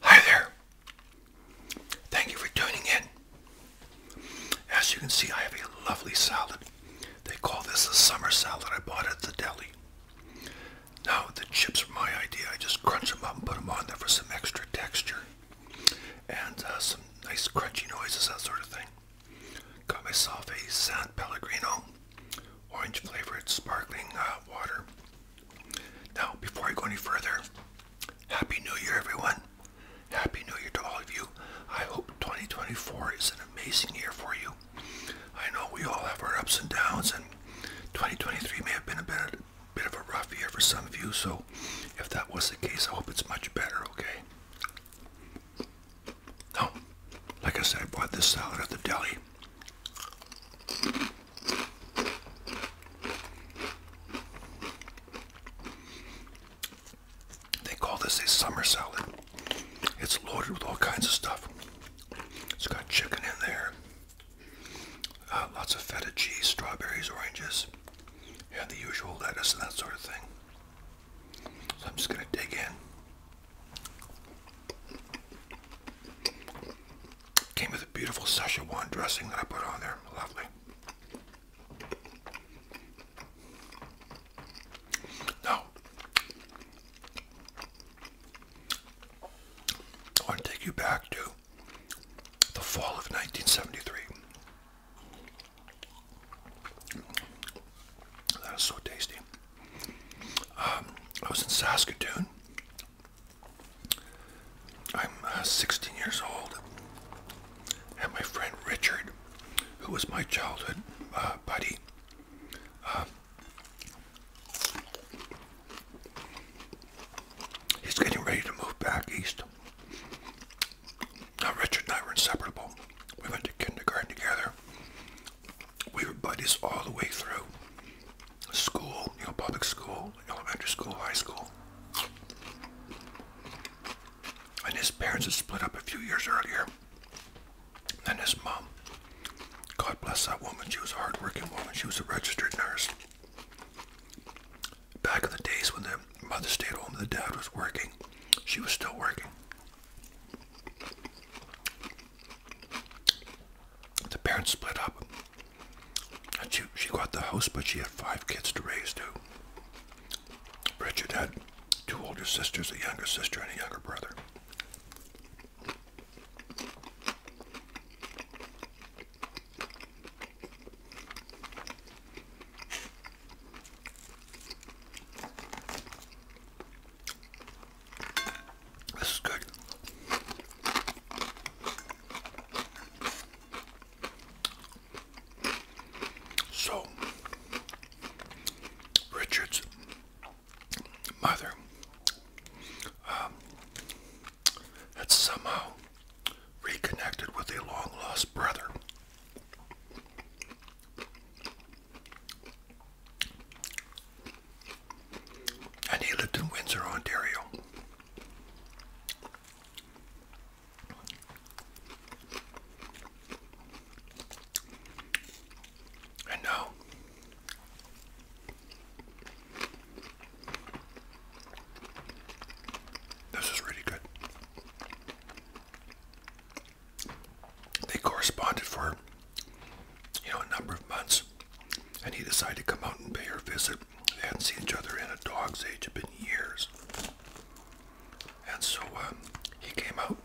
Hi there. Thank you for tuning in. As you can see, I have a lovely salad. They call this the summer salad I bought at the deli. Now, the chips are my idea. I just crunch them up and put them on there for some extra texture and uh, some nice crunchy noises, that sort of thing. Got myself a San Pellegrino orange flavored sparkling uh, water. Now, before I go any further, Happy New Year, everyone. Happy New Year to all of you. I hope 2024 is an amazing year for you. I know we all have our ups and downs, and 2023 may have been a bit, bit of a rough year for some of you, so if that was the case, I hope it's much better, okay? Oh, like I said, I bought this salad at the deli. They call this a summer salad. It's loaded with all kinds of stuff. It's got chicken in there, uh, lots of feta cheese, strawberries, oranges, and the usual lettuce and that sort of thing. So I'm just going to dig in. Came with a beautiful Szechuan dressing that I put on there. Lovely. Now, I want to take you back to the fall of 1973. That is so tasty. Um, I was in Saskatoon. I'm uh, 16 years old, and my friend Richard, who was my childhood uh, buddy, um, He's getting ready to move back east. Now, Richard and I were inseparable. We went to kindergarten together. We were buddies all the way through school, you know, public school, elementary school, high school. And his parents had split up a few years earlier. and his mom God bless that woman. She was a hardworking woman. She was a registered nurse. Back in the days when the mother stayed home and the dad was working, she was still working. The parents split up. she got the house, but she had five kids to raise too. Richard had two older sisters, a younger sister, and a younger brother. This is good. So, Richard's mother um, had somehow reconnected with a long lost brother. And he lived in Windsor, Ontario. And now this is really good. They corresponded for, you know, a number of months, and he decided to come out and pay her a visit. and see each other in a dog's age; of been years. And so um, he came out,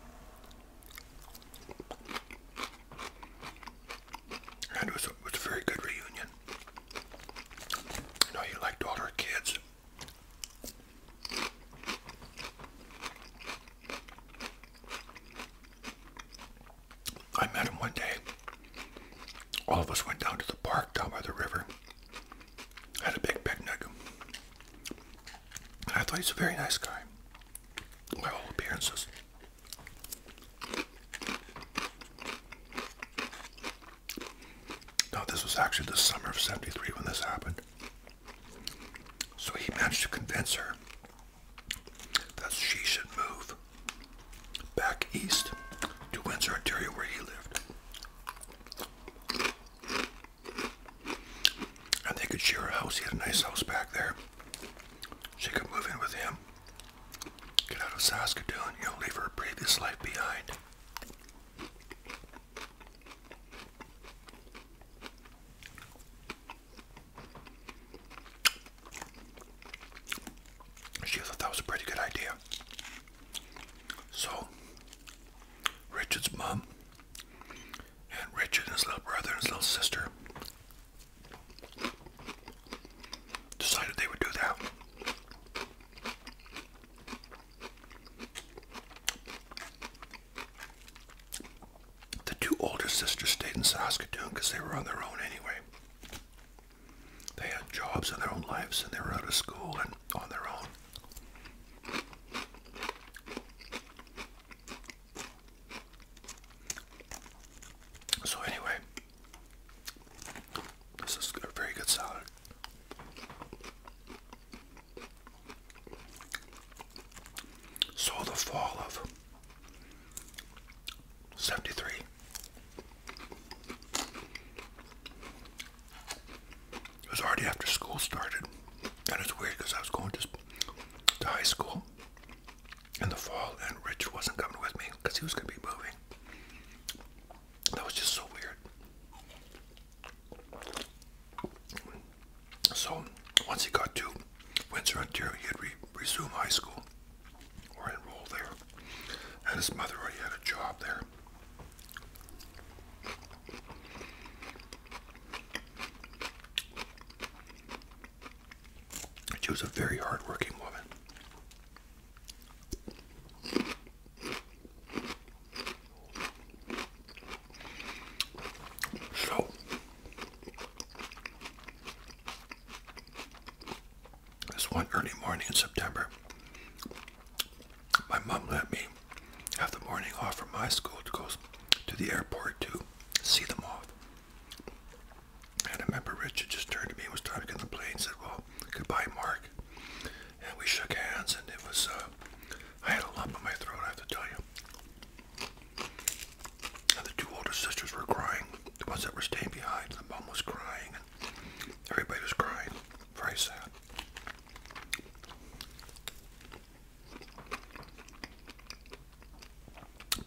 and it was, a, very good reunion. You liked all her kids. I met him one day. All of us went down to the park down by the river. Had a big picnic. I thought he was a very nice guy. By all appearances. Now, this was actually the summer of 73 when this happened. So he managed to convince her that she should move back east to Windsor, Ontario, where he lived. And they could share a house. He had a nice house back there. She could move in with him. Get out of Saskatoon, you'll leave her previous life behind. She thought that was a pretty good idea. So, Richard's mom and Richard his little brother his little sister decided they would do that. The two older sisters stayed in Saskatoon because they were on their own anyway. They had jobs and their own lives and they were out of school and on their own. So anyway, this is a very good salad. So the fall of 73 it was already after school started and it's weird because I was going to, to high school in the fall, and Rich wasn't coming with me because he was going to be moving. That was just so weird. So once he got to Windsor, Ontario, he had to resume high school or enroll there, and his mother already had a job there. She was a very hardworking woman. So, this one early morning in September, my mom let me have the morning off from my school to go to the airport to see them off. And I remember Richard just turned to me and was trying to get on the plane and said, well, goodbye, Mark. And we shook hands and it was, uh, I had a lump in my throat, I have to tell you. And the two older sisters were crying. The ones that were staying behind, the mom was crying. and Everybody was crying. Very sad.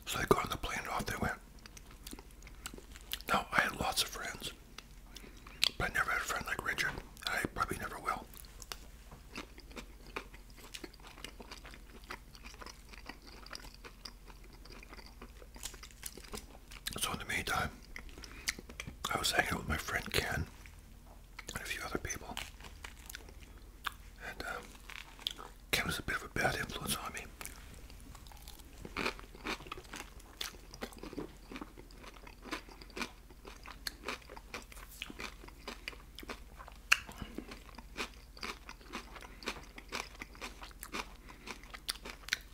So they got on the plane off they went. Now, I had lots of friends, but never had a friend like Richard. I probably never will. So, in the meantime, I was hanging out with my friend Ken and a few other people. And um, Kim was a bit of a bad influence on me.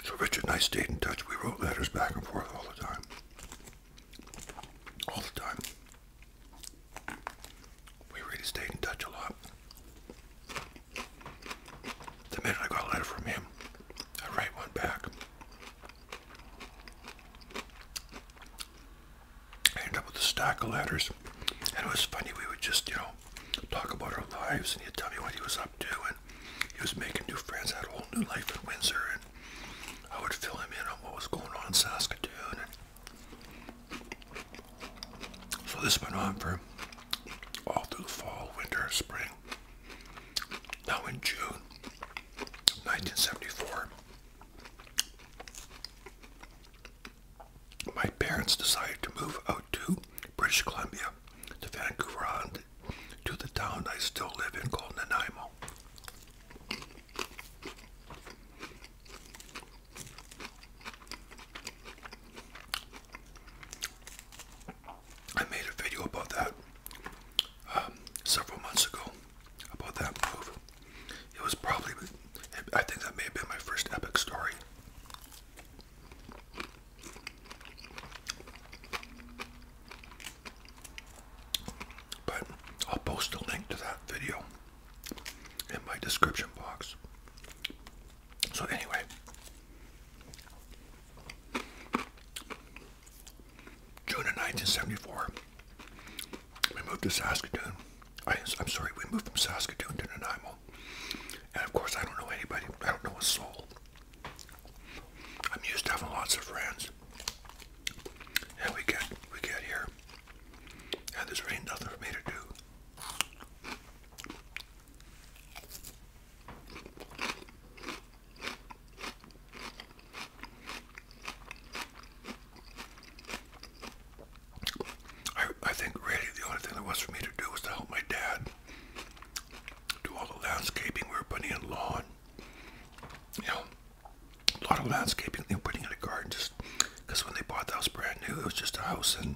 So Richard and I stayed in touch. We wrote letters back and forth all the time. All the time. We really stayed in touch a lot. The minute I got a letter from him, I write one back. I ended up with a stack of letters, and it was funny. We would just, you know, talk about our lives, and he'd tell me what he was up to, and he was making new friends, had a whole new life in Windsor, and I would fill him in on what was going on in Saskatoon. So this went on for all through the fall, winter, spring. Now in June 1974, my parents decided to move out to British Columbia, to Vancouver Island, to the town I still live in called Nanaimo. I made a video about that um, several months ago about that move. It was probably, I think that may have been my first epic story. But I'll post a link to that video in my description box. So anyway, June of 1974, we moved to Saskatoon. I, am sorry, we moved from Saskatoon to Nanaimo. And of course, I don't know anybody. I don't know a soul. I'm used to having lots of friends. And we get we get here, and there's really nothing for me to do. I, I think really the only thing there was for me to do was to help my dad do all the landscaping. We were putting in lawn, you know, a lot of landscaping. They were putting in a garden just because when they bought the house brand new, it was just a house and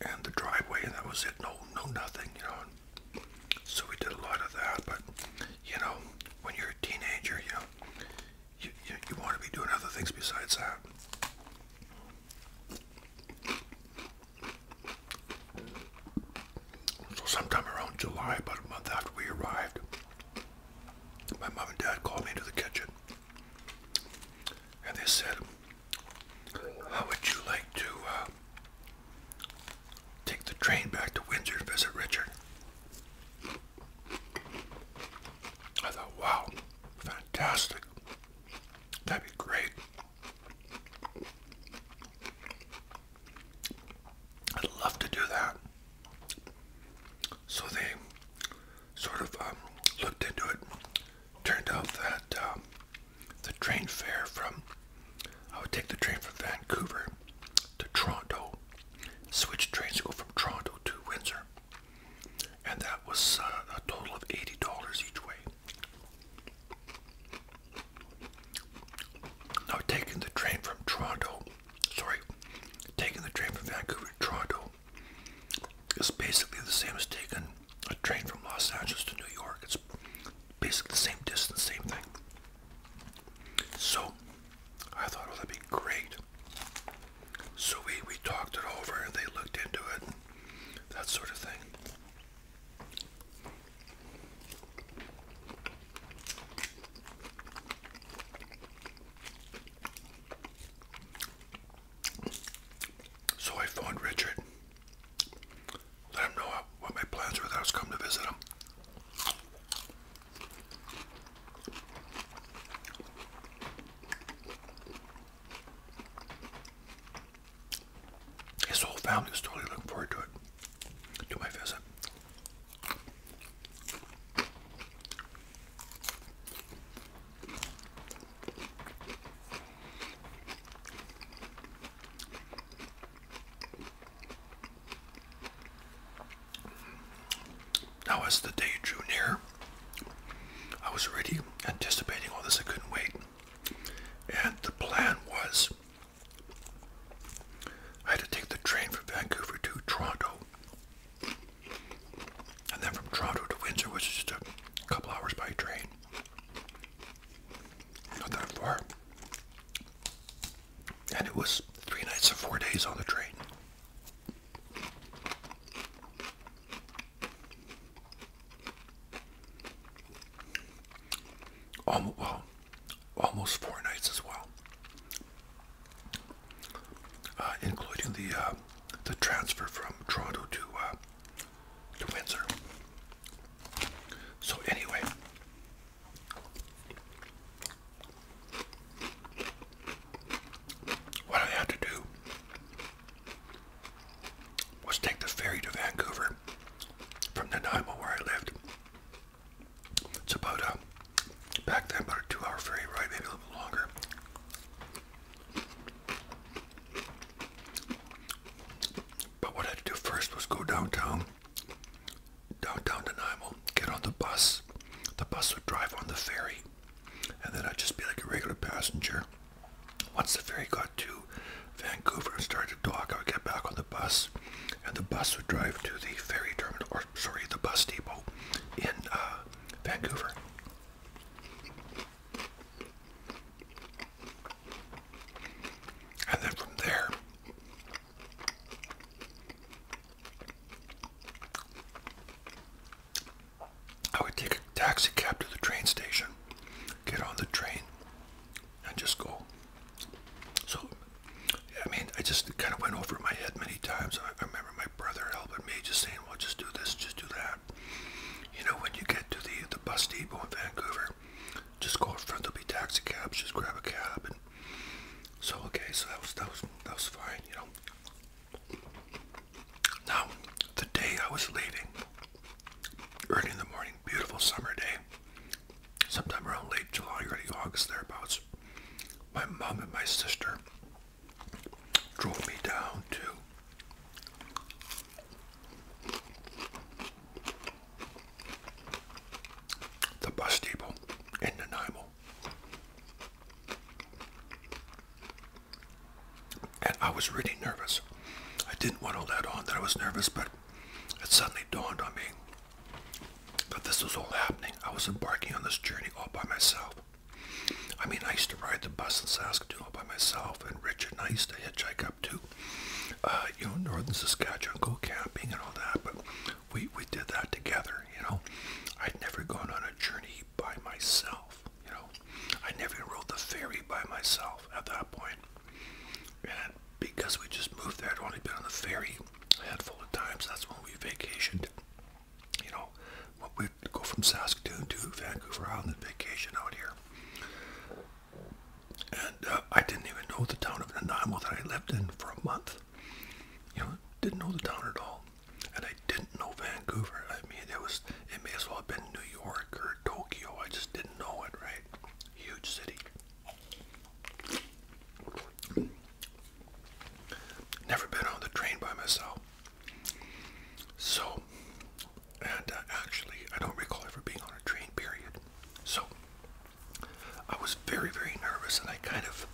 and the driveway, and that was it. No, no, nothing, you know. so we did a lot of that, but you know, when you're a teenager, you know, you, you, want to be doing other things besides that. So sometime around July, about a month after we arrived, my mom and dad called me into the kitchen, and they said, how would you like to uh, take the train back to Windsor to visit Richard? I thought, wow, fantastic. That'd be great. I'd love to do that. So they sort of um, looked into it. Turned out that um, the train fare from I would take the train from Vancouver to Toronto, switch trains to go from Toronto to Windsor, and that was uh, a total of eighty dollars each way. Now taking the train from Toronto, sorry, taking the train from Vancouver to Toronto is basically the same as taking a train from Los Angeles to New York. It's basically the same distance, same thing. So I thought, oh, that'd be great. So we, we talked it over and they looked into it, that sort of thing. So I phoned Richard, let him know what my plans were that I was coming to visit him. His whole family was totally looking forward to it, to my visit. Now, as the day drew near, I was already anticipating all this. I couldn't wait. And the plan was I had to take the train from Vancouver to Toronto. And then from Toronto to Windsor, which is just a couple hours by train. Not that far. And it was three nights and four days on the train. Almost, almost four nights as well, uh, including the uh, the transfer from Toronto to uh, to Windsor. So anyway, what I had to do was take the ferry to Vancouver from Nanaimo where I lived. It's about, um, back then about a two hour ferry ride, maybe a little bit longer. But what I had do first was go downtown, downtown Nanaimo, get on the bus. The bus would drive on the ferry, and then I'd just be like a regular passenger. Once the ferry got to Vancouver and started to dock, I would get back on the bus, and the bus would drive to the ferry terminal, or sorry, the bus depot in uh, Vancouver. And then from there, I would take a taxi cab to the train station, get on the train, and just go. So, I mean, I just kind of went over my head many times. I, remember my brother helping me, just saying, well, just do this, just do that. You know, when you get to the, the bus depot in Vancouver, just go call front there'll be taxi cabs, just grab a cab and so okay, so that was that was that was fine, you know. Now, the day I was leaving, early in the morning, beautiful summer day, sometime around late July, early August thereabouts, my mom and my sister drove me down to the bus depot in Nanaimo. And I was really nervous. I didn't want to let on that I was nervous, but it suddenly dawned on me that this was all happening. I was embarking on this journey all by myself. I mean, I used to ride the bus in Saskatoon all by myself myself and Richard and I used to hitchhike up to, uh, you know, northern Saskatchewan, go camping and all that, but we, we did that together, you know. I'd never gone on a journey by myself, you know. I never even rode the ferry by myself at that point. And because we just moved there, I'd only been on the ferry a handful of times. That's when we vacationed. You know, we'd go from Saskatoon to Vancouver Island vacation out here. And uh, I didn't even know the town of Nanaimo that I lived in for a month. You know, didn't know the town at all. And I didn't know Vancouver. I mean, it was, it may as well have been New York or Tokyo. I just didn't know it, right? Huge city. Never been on the train by myself. So, and uh, actually, I don't recall ever being on a train, period. So, I was very, very nervous, and I kind of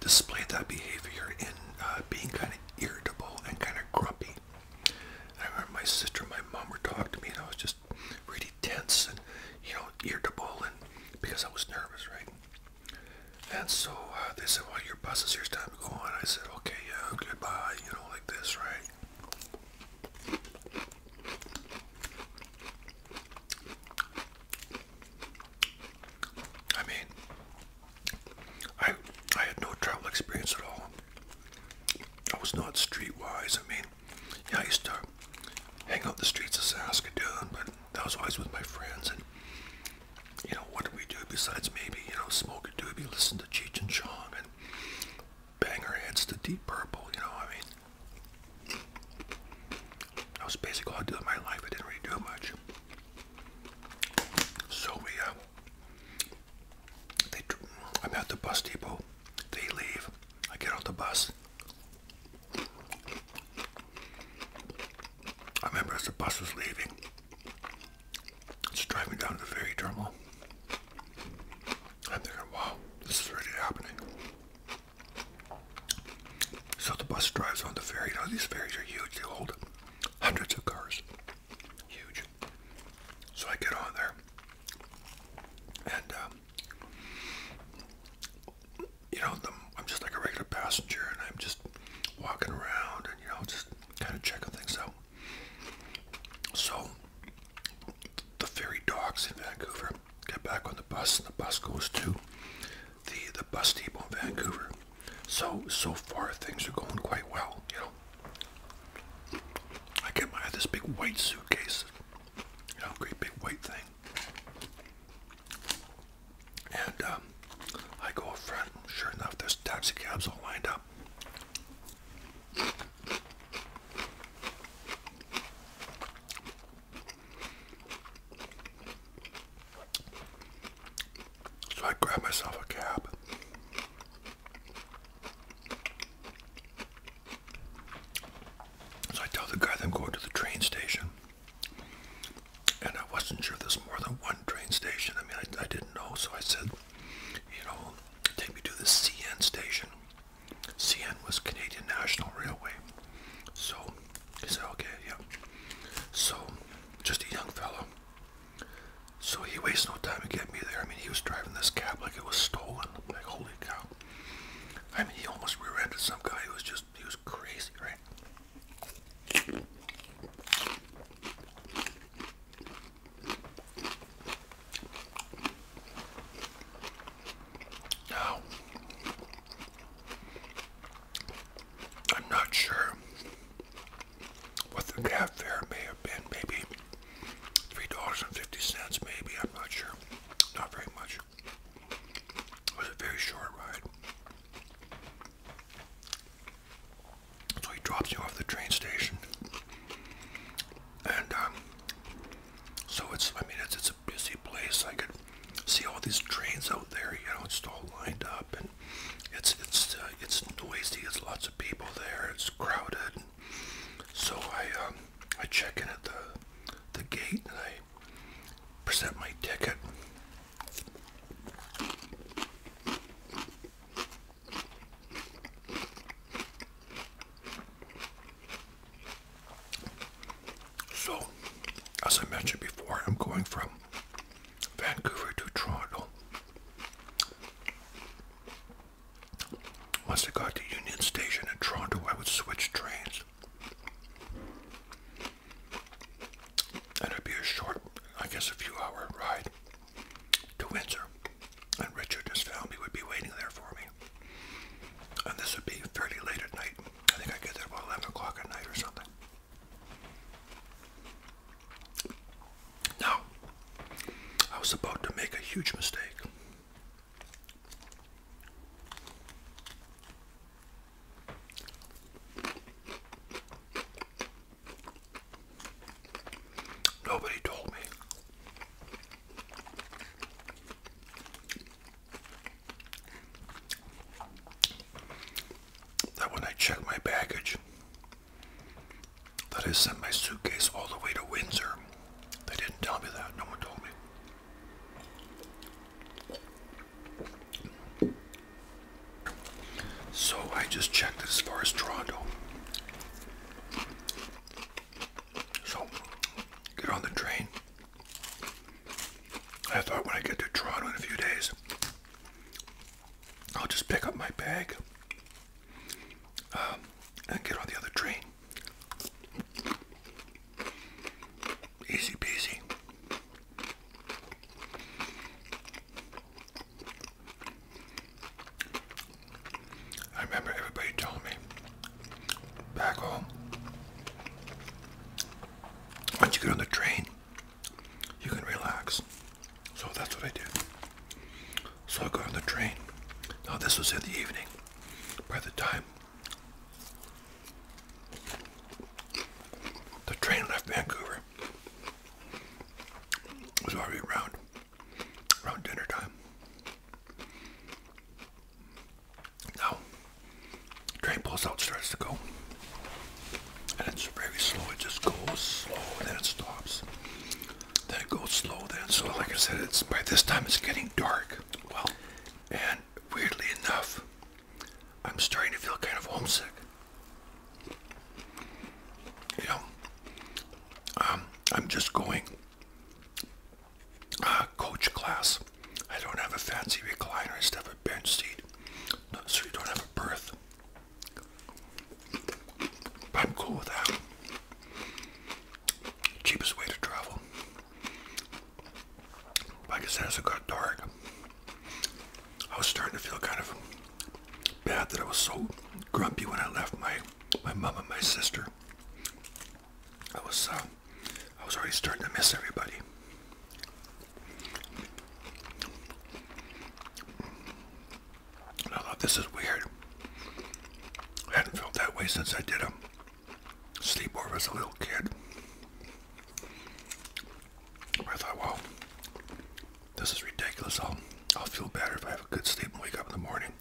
displayed that behavior in uh, being kind of irritable and kind of grumpy. And I remember my sister and my mom were talking to me, and I was just really tense and, you know, irritable, and because I was nervous, right? And so uh, they said, well, your bus is here, it's time to go on. I said, okay, yeah, goodbye, you know, like this, right? I mean, I I had no travel experience at all. I was not streetwise. I mean, yeah, I used to hang out the streets of Saskatoon, but that was always with my friends. And you know, what did we do besides maybe you know smoke a doobie, listen to Cheech and Chong, and bang our heads to deep purple, you know, I mean, that was basically all I did in my life, I didn't really do much. So we, uh, they, I'm at the bus depot, they leave, I get off the bus. I remember as the bus was leaving, it's driving down to the ferry terminal. I'm thinking, wow, this is really happening. So the bus drives on the ferry. Now these ferries are huge. They hold hundreds of cars. Huge. So I get on there. And, um, you know, I'm just like a regular passenger and I'm just walking around and, you know, just kind of checking things out. So the ferry docks in Vancouver get back on the bus, and the bus goes to the the bus depot in Vancouver. So so far things are going quite well, you know. I get my this big white suitcase, you know, great big white thing. And um, I go up front. Sure enough, there's taxis cabs all lined up. So I grabbed myself a cab. So I tell the guy that I'm going to the train station. And I wasn't sure there's more than one train station. I mean, I didn't know, so I said, you know, take me to the CN station. CN was Canadian National Railway. So he said, okay, yeah. So just a young fellow. So he wastes no time to get me there. I mean, he was driving this cab like it was stolen. Like, holy cow. I mean, he almost rear-ended some guy who was just, he was crazy, right? I'm not sure what the cab fare may have been, maybe $3.50, maybe, I'm not sure, not very much. It was a very short ride. So he drops you off the train station, and um, so it's I mean it's it's a busy place. I could see all these trains out there. You know, it's all lined up, and it's it's uh, it's noisy. It's lots of people there. It's crowded. so I um, I check in at the the gate I present my ticket. So, as I mentioned before, I'm going from Vancouver to Toronto. Once I got to Union Station in Toronto, I would switch trains. And it'd be a short, I guess a few hour ride to Windsor, and Richard just found me would be waiting there for me. And this would be fairly late at night. I think I get there about 11 o'clock at night or something. Now, I was about to make a huge mistake. Nobody told me. That when I checked my baggage, that I sent my suitcase all the way to Windsor. They didn't tell me that. No one told me. So I just checked as far as Toronto. So, get on the train. I thought when I get to Toronto in a few days, I'll just pick up my bag um, and get on the other train. Easy peasy. I remember everybody telling me back home, once you get on the train, you can relax. So that's what I did. So I got on the train. Now this was in the evening. By the time the train left Vancouver, it was already around around dinner time. Now, train pulls out, starts to go. And it's very slow, it just goes slow, and then it stops. Then it goes slow, then so like I said, it's by this time it's getting dark. Well, and weirdly enough, I'm starting to feel kind of homesick. You um, I'm just going uh, coach class. I don't have a fancy recliner instead of a bench seat, so you don't have a berth. I'm cool with that. Cheapest way to travel. Like I said, as it got dark, I was starting to feel kind of bad that I was so grumpy when I left my my mom and my sister. I was uh, I was already starting to miss everybody. I thought this is weird. I hadn't felt that way since I did a sleepover as a little kid. I thought, well, this is ridiculous. I'll, I'll feel better if I have a good sleep and wake up in the morning.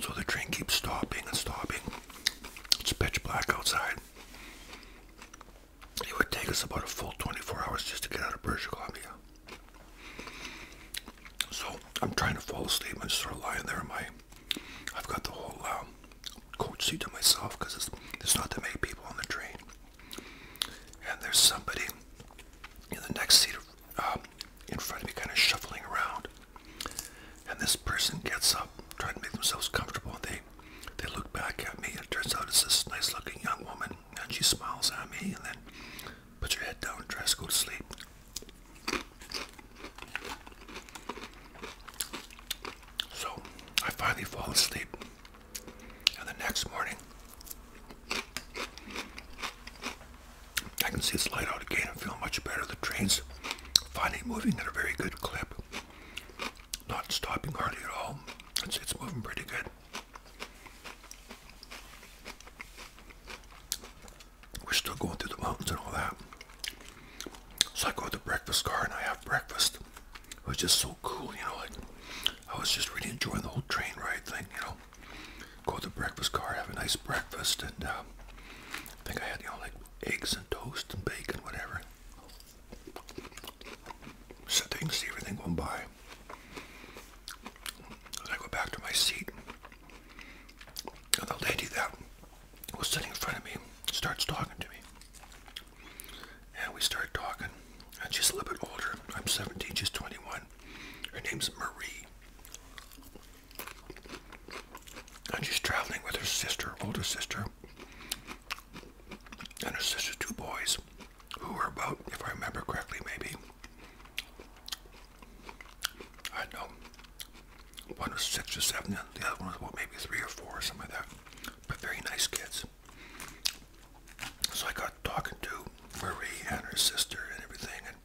So the train keeps stopping and stopping. It's pitch black outside. It would take us about a full 24 hours just to get out of British Columbia. So I'm trying to fall asleep. I'm just sort of lying there. my, I've got the whole um, coach seat to myself because there's not that many people on the train. And there's somebody in the next seat um, in front of me kind of shuffling around. And this person gets up, trying to make themselves comfortable, and they, they look back at me. And it turns out it's this nice looking young woman, and she smiles at me, and then put your head down, dress, go to sleep. So I finally fall asleep. And the next morning, I can see it's light out again and feel much better. The train's finally moving at a very good clip. Not stopping hardly at all. It's, it's moving pretty good. We're still going through the mountains and all that. So I go to the breakfast car and I have breakfast. It was just so cool, you know, I was just really enjoying the whole train ride thing, you know. Go to the breakfast car, have a nice breakfast, and um, I think I had, you know, like eggs and toast and bacon, whatever. So see everything going by. I go back to my seat, and the lady that was sitting in front of me starts talking to me. And we started talking. And she's a little bit older. I'm 17, she's 21. Her name's Marie. And she's traveling with her sister, older sister, and her sister's two boys, who were about, if I remember correctly, maybe, I don't one was six or seven, the other one was what, maybe three or four, or something like that. But very nice kids. So I got talking to Marie and her sister and everything, and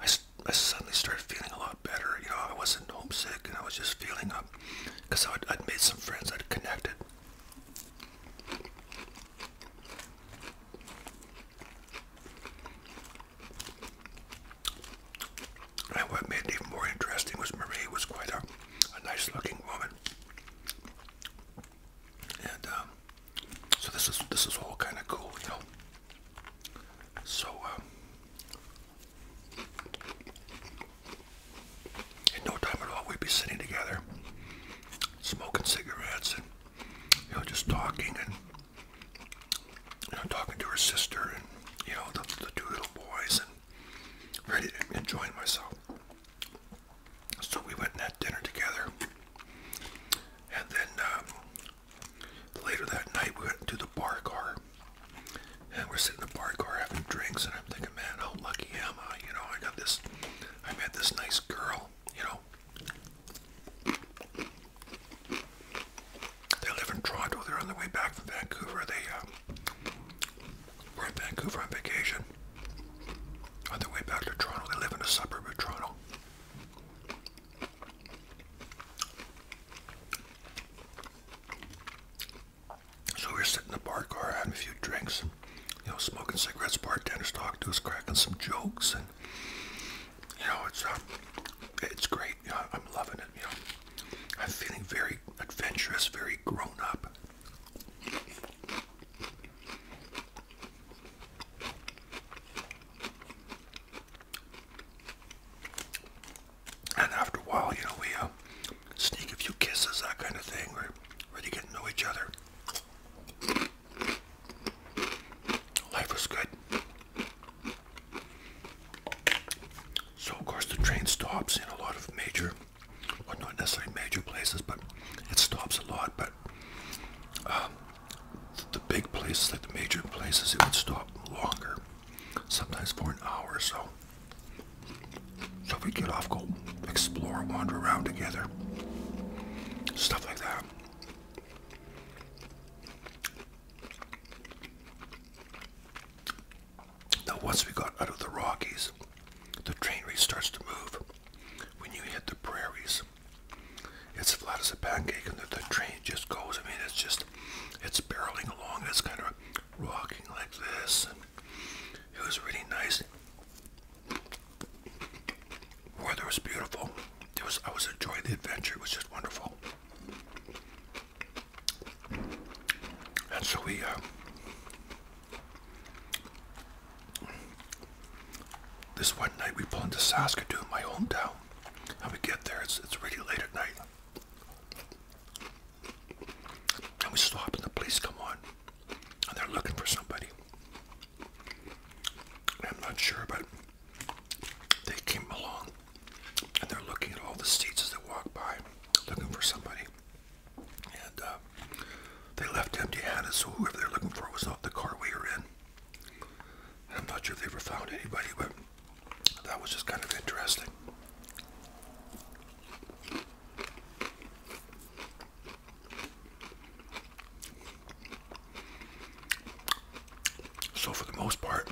I, I suddenly started feeling a lot better. You know, I wasn't homesick, and I was just feeling up because I'd, made some friends, I'd connected. And what made it even more interesting was Marie was quite a, a nice looking woman. And um, so this is this is all kind of cool, you know. So um, in no time at all, we'd be sitting together, smoking cigarettes, and you know, just talking and you know, talking to her sister and you know the, the two little boys and really enjoying myself. So we went and had dinner together. And then um, later that night, we went to the bar car. And we're sitting in the bar car having drinks, and I'm thinking, man, how lucky am I? You know, I got this, I met this nice girl, you know. They live in Toronto. They're on their way back from Vancouver. They um, we're in Vancouver on vacation. On the way back to Toronto, they live in a suburb of Toronto. So we are sitting in the bar car having a few drinks, you know, smoking cigarettes, bartenders talking to us, cracking some jokes, and you know, it's uh, it's great. I'm loving it. You know, I'm feeling very adventurous, very grown up. And after a while, you know, we uh, sneak a few kisses, that kind of thing. We're really getting to know each other. Life was good. So, of course, the train stops in a lot of major well, not necessarily major places, but it stops a lot. But um, the big places, like the major places, it would stop longer, sometimes for an hour or so. So we get off, go explore, wander around together, stuff like that. Now, once we got out of the Rockies, the train really starts to move when you hit the prairies, it's flat as a pancake, and the, train just goes. I mean, it's just, it's barreling along. It's kind of rocking like this. And it was really nice. Weather was beautiful. It was. I was enjoying the adventure. It was just wonderful. And so we uh, this one night we pull into Saskatoon, my hometown, and we get there. It's it's really late at night, and we stop, and the police come on, and they're looking for somebody. I'm not sure, but they came along, and they're looking at all the seats as they walk by, looking for somebody. And uh, they left empty-handed, so whoever they're looking for was not the car we were in. I'm not sure if they ever found anybody, but that was just kind of interesting. So for the most part,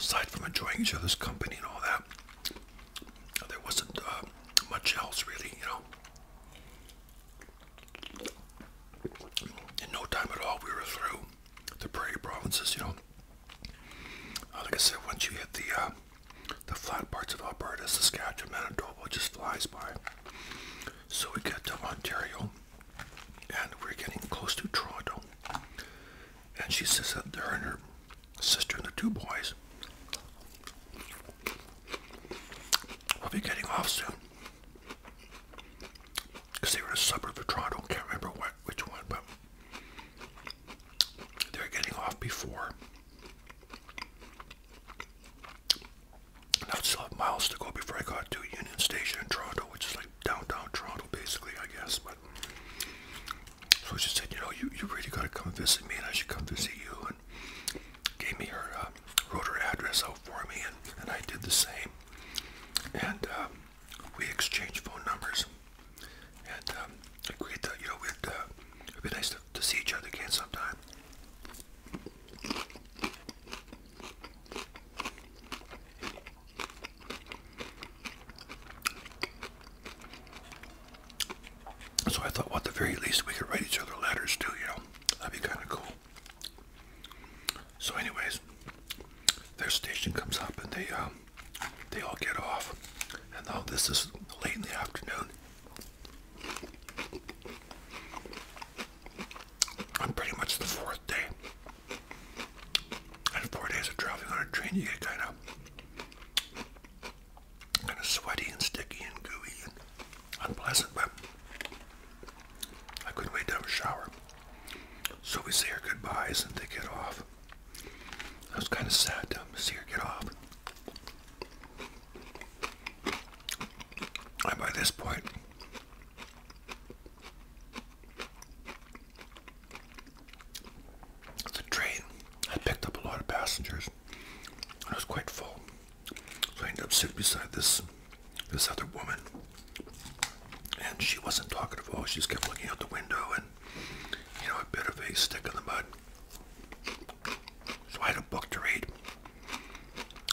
aside from enjoying each other's company and all that, there wasn't uh, much else really, you know. In no time at all, we were through the prairie provinces, you know. Uh, like I said, once you hit the uh, the flat parts of Alberta, Saskatchewan, Manitoba, just flies by. So we get to Ontario, and we're getting close to Toronto. And she says that her and her sister and the two boys will be getting off soon. Because they were in the suburb of Toronto, can't remember what, which one, but they're getting off before. I still have miles to go before I got to Union Station in Toronto, which is like downtown Toronto, basically, I guess. But so she said, you know, you, you really got to come visit me and I should come visit you. And gave me her, um, wrote her address out for me and, and I did the same. And um, we exchanged phone numbers and um, agreed that, you know, we'd, uh, it'd be nice to, to see each other again sometime. So I thought, well, the very least, we could write each other letters too, you know? That'd be kind of cool. So, anyways, their station comes up and they, um, they all get off. And now um, this is late in the afternoon. I'm pretty much the fourth day. And four days of traveling on a train, you get kind of kind of sweaty and sticky and gooey and unpleasant, but I couldn't wait to have a shower. So we say our goodbyes and they get off. I was kind of sad to see her get off. And by this point, the train I picked up a lot of passengers. And it was quite full. So I ended up sitting beside this this other woman. And she wasn't talking at all. She just kept looking out the window and, you know, a bit of a stick in the mud. So I had a book to read.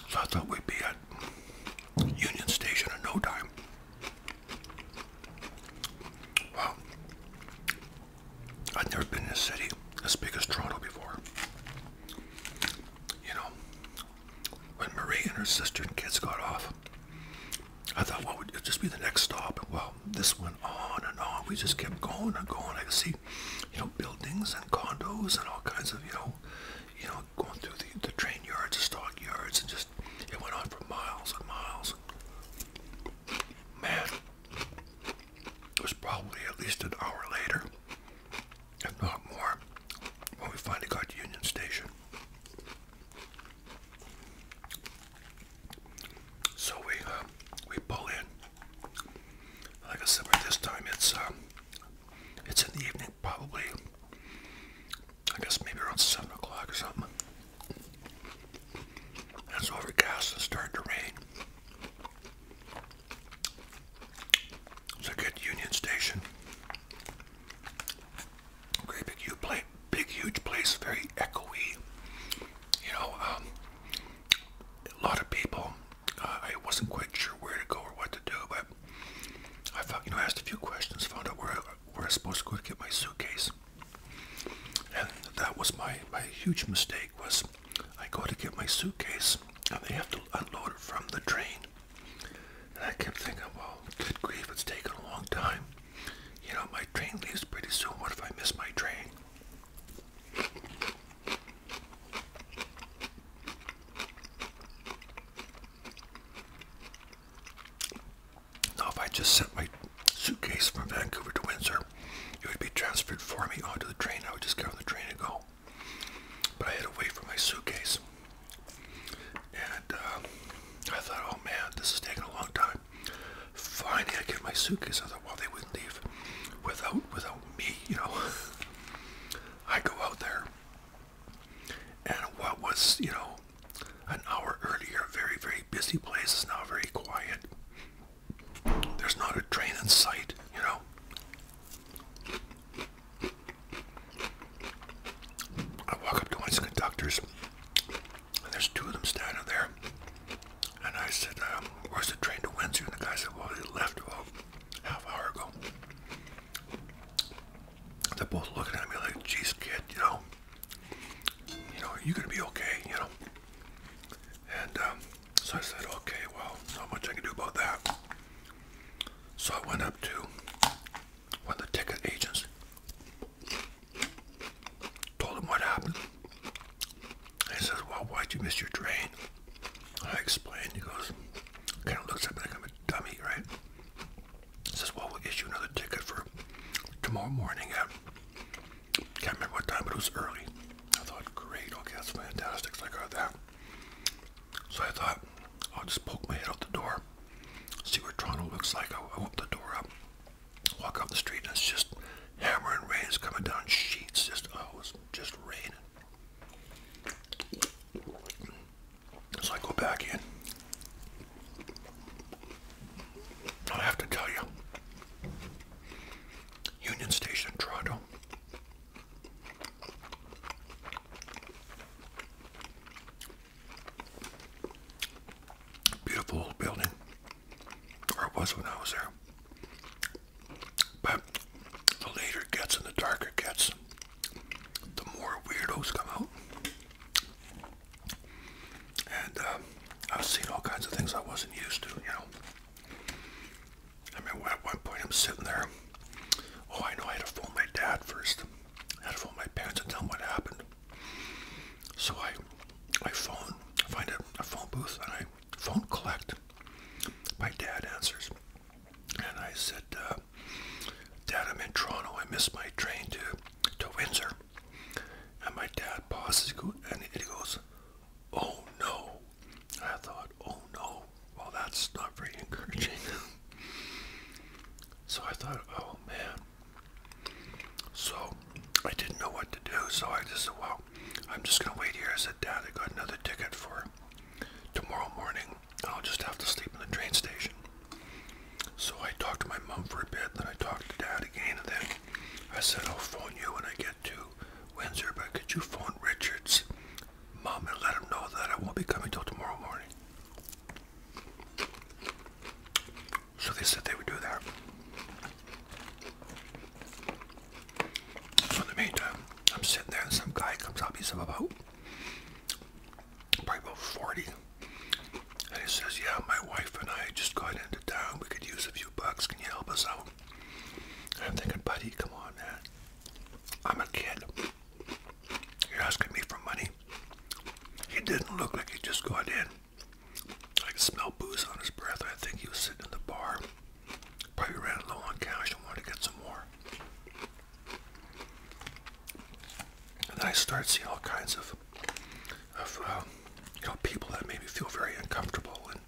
So I thought we'd be at Union Station in no time. Well, i would never been in a city as big as Toronto before. You know, when Marie and her sister and kids got off, I thought, well, would it just be the next stop? Well, this went on and on. We just kept going and going. I could see, you know, buildings and condos and all kinds of, you know, you know, going through the, the train yards, the stock yards, and just, it went on for miles and miles. Man, it was probably at least an hour later, if not more, when we finally got to Union Station. So we uh, we pull in. Like I said, by this time it's um, it's in the evening, probably. I guess maybe around seven o'clock or something. It's overcast and starting to rain. It's a good Union Station. Great big, huge place, big, huge place, very echoey. You know, um, a lot of people. Uh, I wasn't quite sure where to go or what to do, but I you know, asked a few questions, found out where where I was supposed to go to get my suitcase. And that was my, my huge mistake was I go to get my suitcase and they have to unload it from the train. And I kept thinking, well, good grief, it's taken a long time. You know, my train leaves pretty soon. What if I miss my train? Now if I just set my suitcase from Vancouver to Windsor. It would be transferred for me onto the train. I would just get on the train and go. But I had to wait for my suitcase. And uh, I thought, oh man, this is taking a long time. Finally, I get my suitcase. I thought, well, they wouldn't leave without without me, you know. I go out there, and what was, you know, an hour earlier, very, very busy place is now very quiet. There's not a train in sight, you know. I walk up to one of the conductors, and there's two of them standing there. And I said, um, where's the train to Windsor? And the guy said, well, it left about half hour ago. They're both looking at me like, geez, kid, you know, you know, you're going to be okay, you know. And um, so I said, okay, well, not much I can do about that. So I went up to one of the ticket agents, told him what happened. And he says, well, why'd you miss your train? I explained. He goes, kind of looks at me like I'm a dummy, right? He says, well, we'll get you another ticket for tomorrow morning can't remember what time, but it was early. I thought, great, okay, that's fantastic. So I got that. So I thought, I'll just poke my head out the door, see what Toronto looks like. I open the door up, walk up the street, and it's just hammer and rain is coming down sheets. Just oh, it was just raining. So I go back in. I have to tell you, Union Station, Toronto. Beautiful building, or it was when I was there. But the later gets and the darker gets, the more weirdos come out and um, I've seen all kinds of things I wasn't used to, you know. I mean, at one point I'm sitting there. Oh, I know I had to phone my dad first. I had to phone my parents and tell them what happened. So I, I phone, find a, phone booth, and I phone collect. My dad answers, and I said, uh, "Dad, I'm in Toronto. I missed my train to, to Windsor." And my dad pauses, and he goes, Oh no. I thought, oh no. Well, that's not very encouraging. so I thought, oh man. So I didn't know what to do. So I just said, well, I'm just going to wait here. I said, Dad, I got another ticket for tomorrow morning. I'll just have to sleep in the train station. So I talked to my mom for a bit, then I talked to Dad again, and then I said, I'll phone you when I get to Windsor, but could you phone Richard's mom and let him know that I won't be coming till tomorrow morning? So they said they would do that. So in the meantime, I'm sitting there and some guy comes up, he's about probably about 40. And he says, yeah, my wife and I just got into town. We could use a few bucks. Can you help us out? I'm thinking, buddy, come on, man. I'm a kid. You're asking me for money. He didn't look like he just got in. I could smell booze on his breath. I think he was sitting in the bar. Probably ran low on cash and wanted to get some more. And then I start seeing all kinds of of um, you know people that made me feel very uncomfortable and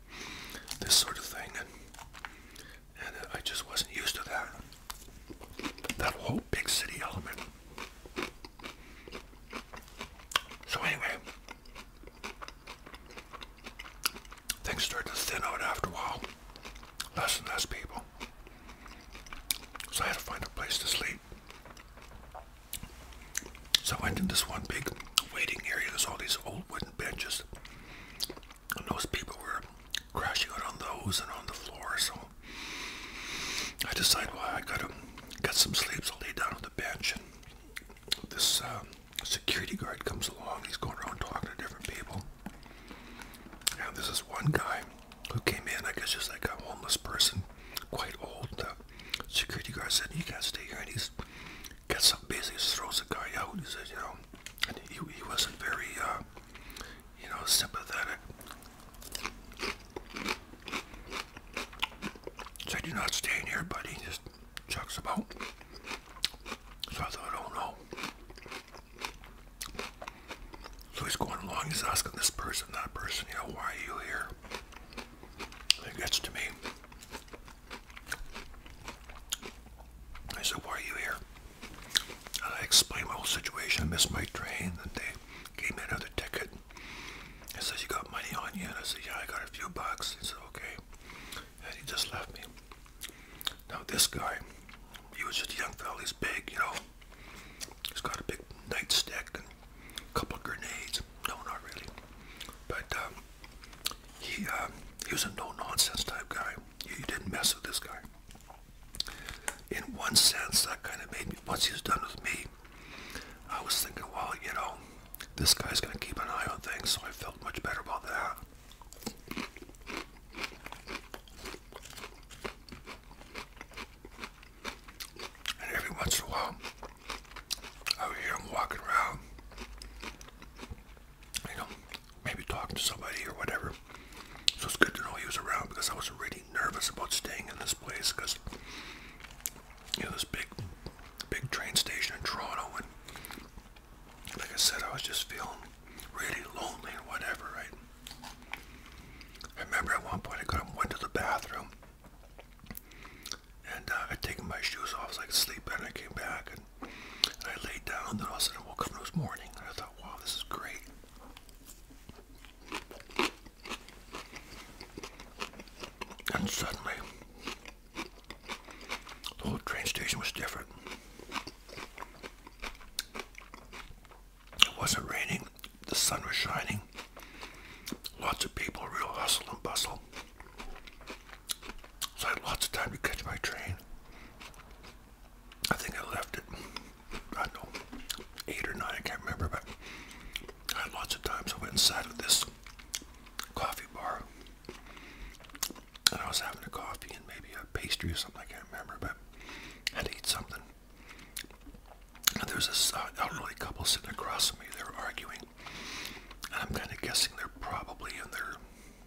this sort of thing, and and uh, I just wasn't used to that. That whole big city element. So anyway, things started to thin out after a while. Less and less people. So I had to find a place to sleep. So I went in this one big waiting area. There's all these old wooden benches. And those people were crashing on those and on the floor. So I decide, well, I gotta get some sleep. So I lay down on the bench. And this um, security guard comes along. He's going around talking to different people. And this is one guy who came in, I guess just like a homeless person, quite old. The security guard said, you can't stay here. And he's gets up basically throws the guy out. He says, you know, he, he wasn't very, uh, you know, sympathetic. Said, you're not staying here, buddy. He just chucks about. So I thought, oh no. So he's going along, he's asking this person, that person, you know, why are you here? It gets to me. I said, why are you here? And I explained my whole situation. I missed my train, and they gave me another ticket. And says, you got money on you? And I said, yeah, I got a few bucks. He said, okay. And he just left me. Now this guy, he was just a young fella. He's big, you know. He's got a big nightstick and a couple of grenades. No, not really. But um, he uh, he was a no nonsense type guy. You didn't mess with this guy. In one sense, that kind of made me. Once he was done with me, I was thinking, well, you know, this guy's gonna keep an eye on things. So I felt much better about that. And every once in a while, I would hear him walking around, you know, maybe talking to somebody or whatever. So it's good to know he was around because I was really nervous about staying in this place because, you know, this big, big train station in Toronto and like I said, I was just feeling really lonely and whatever, right? I remember at one point I got went to the bathroom and uh, I'd taken my shoes off so I could sleep, and I came back, and, and I laid down, and then all of a sudden I woke up, and it was morning, and I thought, wow, this is great. And suddenly, the whole train station was different. It wasn't raining, the sun was shining, lots of people, real hustle and bustle. So I had lots of time to catch my train. I think I left it. I don't know, 8 or 9, I can't remember, but I had lots of time. So I went inside of this coffee bar. And I was having a coffee and maybe a pastry or something, I can't remember, but I had to eat something. And there was this uh, elderly couple sitting across from me. They were arguing. And I'm kind of guessing they're probably in their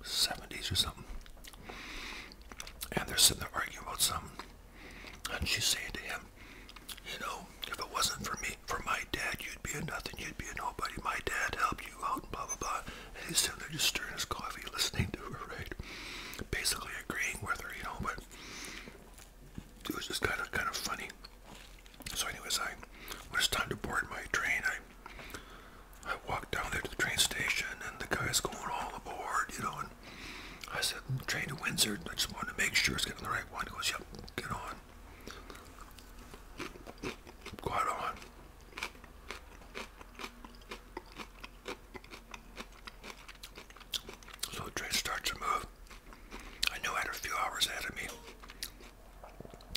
70s or something. And they're sitting there arguing about something. And she's saying to him, You know, if it wasn't for me, for my dad, you'd be a nothing, you'd be a nobody. My dad helped you out, blah, blah, blah. And he's sitting there just stirring his coffee, listening to her, right? Basically agreeing with her, you know, but it was just kind of, kind of funny. So anyways, I when it's time to board my train, I I walked down there to the train station, and the guy's going all aboard, you know. And I said, "Train to Windsor." I just wanted to make sure it's getting the right one. He goes, "Yep, get on." Got on. So the train starts to move. I knew I had a few hours ahead of me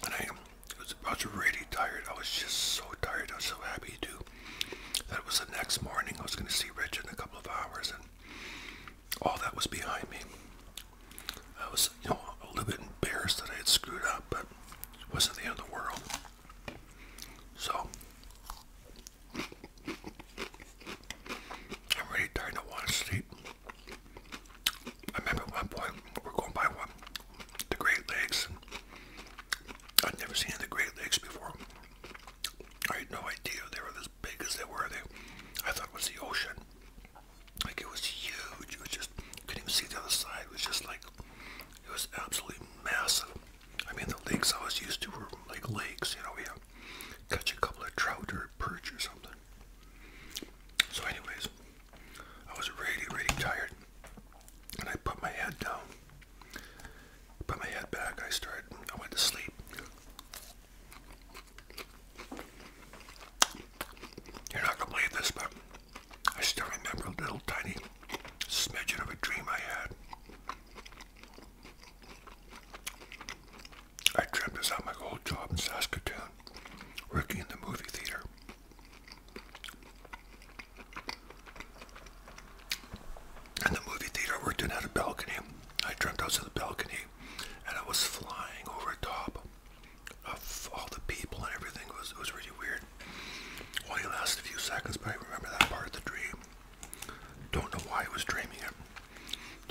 and I was, really tired. I was just so tired. I was so happy too. That was the next morning. I was going to see Rich in a couple of hours, and all that was behind me. I was, you know, a little bit embarrassed that I had screwed up, but it wasn't the end of the world. So, I'm really tired. I want to sleep. I remember one point we're going by one the Great Lakes. I'd never seen the Great Lakes before. I had no idea they were as big as they were. They, I thought it was the ocean. Like it was huge. It was just couldn't even see the other side. It was just like it was absolutely massive. I mean the lakes I was used to were like lakes, you know, we catch a couple of trout or perch or something. So anyways I was really, really tired. And I put my head down. Put my head back. I started, I went to sleep. You're not going to believe this, but I still remember a little tiny smidgen of a dream I had. I dreamt this out my old job in Saskatoon, working in the movie theater. And the movie theater I worked in had a balcony. I dreamt I was in the balcony and I was flying over top of all the people and everything. It was, it was really weird. Only lasted a few seconds, but I remember that part of the dream. Don't know why I was dreaming it.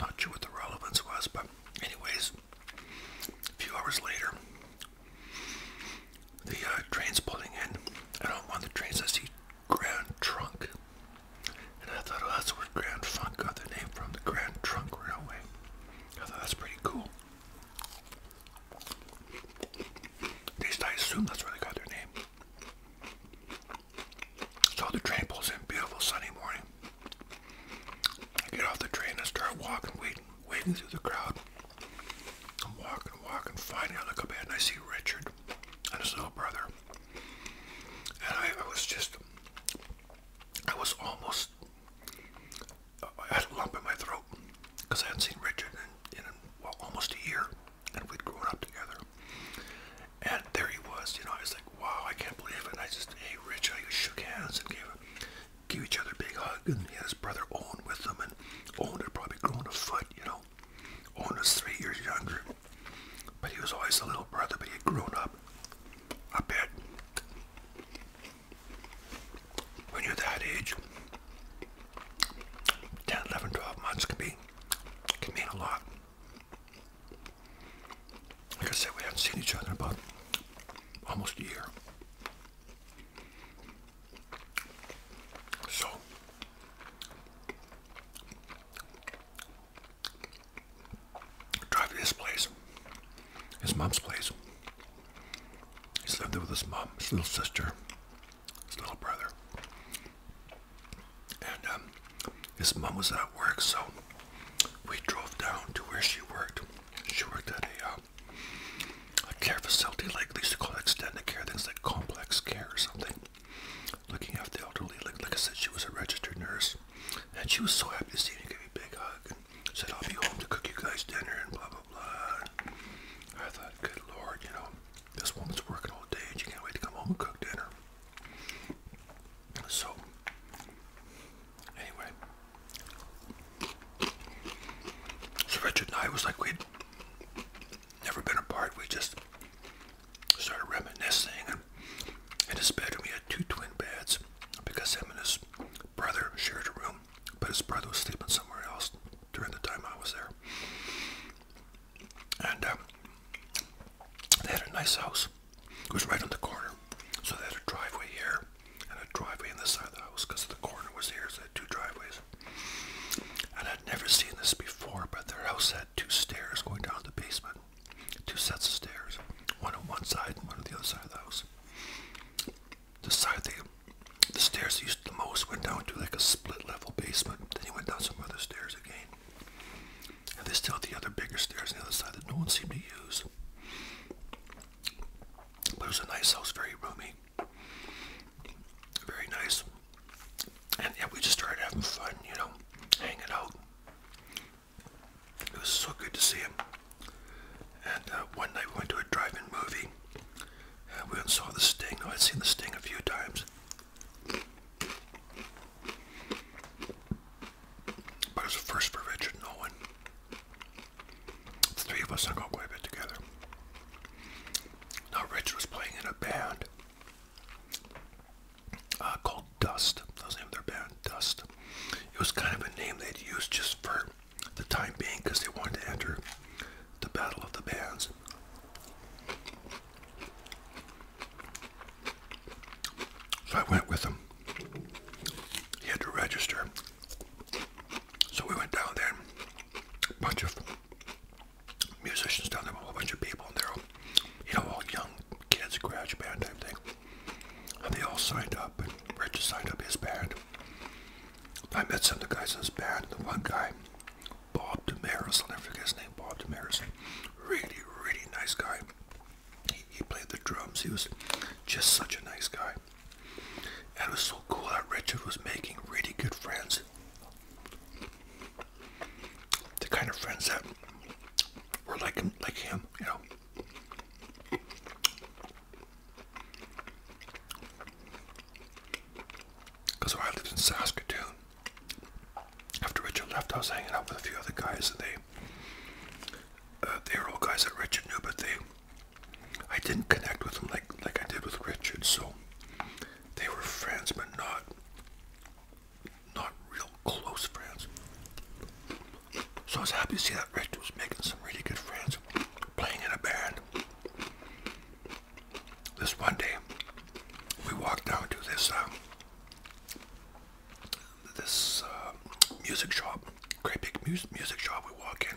Not sure what the relevance was, but anyways. A few hours later, the uh, train's pulling in, and on one of the trains I see Grand Trunk. And I thought, oh, that's where Grand Funk got their name from, the Grand Trunk Railway. I thought that's pretty cool. At least I assume that's where they got their name. So the train pulls in, beautiful sunny morning get off the train and start walking, waiting, waiting through the crowd. I'm walking, walking, finally I look up ahead and I see Richard and his little brother. And I, was just, I was almost, I had a lump in my throat because I hadn't seen Richard in, almost a year and we'd grown up together. And there he was, you know, I was like, wow, I can't believe it. And I just, hey, Rich, I shook hands and gave him. Give each other a big hug, and he had his brother Owen with him, and Owen had probably grown a foot, you know. Owen was three years younger, but he was always the little brother, but he had grown up a bit. When you're that age, 10, 11, 12 months can be, can mean a lot. Like I said, we haven't seen each other but almost a year. So, drive to his place, his mom's place. He's living there with his mom, his little sister, his little brother. And um, his mom was at work, so we drove down to where she worked. She worked at a, uh, a care facility, like they used to call it extended care, things like complex care or something. Looking after the elderly, like, like I said, she was a registered nurse. And she was so happy to see me, give me a big hug, and said, I'll be home to cook you guys dinner, and blah, blah, blah. I thought, good lord, you know, this woman's working all day, and she can't wait to come home and cook dinner. So, Anyway, so Richard and I was like we'd never been apart. We just started reminiscing. And in his bedroom, we had two twin beds because him and his brother shared a room, but his brother was sleeping somewhere else during the time I was there. And uh, they had a nice house. It was right on the corner. So they had a driveway here and a driveway on this side of the house because the corner was here, so they had two driveways. And I'd never seen this before, but their house had two stairs going down to the basement. Two sets of stairs. One on one side and one on the other side of the house. The side the stairs used the most went down to like a split level basement. Then you went down some other stairs again. And they still had the other bigger stairs on the other side that no one seemed to use it was a nice house, very roomy, very nice. And yeah, we just started having fun, you know, hanging out. It was so good to see him. And uh, one night we went to a drive-in movie. And we saw The Sting. Oh, I'd seen The Sting a few times. But it's the first for Richard Nolan. The three of us hung out quite a bit together. Now, Richard was playing in a band uh, called Dust. That was the name of their band, Dust. It was kind of a name they'd used just for the time being because they wanted to enter the Battle of the Bands. So I went with them. He had to register. So we went down there, a bunch of musicians down there, a whole bunch of people, and they're all, you know, all young kids, garage band type thing. And they all signed up, and Richard signed up his band. I met some of the guys in his band, the one guy, Bob Damaris, I'll never forget his name, Bob Damaris, really, really nice guy. He, played the drums. He was just such a nice guy. And it was so cool that Richard was making really good friends. The kind of friends that were like him, like him, you know. Because when I lived in Saskatoon, after Richard left, I was hanging out with a few other guys, and they uh, they were all guys that Richard knew, but they, I didn't connect with them like like I did with Richard. So they were friends, but not not real close friends. So I was happy to see that Richard was making some really good friends, playing in a band. This one day, we walked down to this um, this uh, music shop, great big mu music shop. We walk in,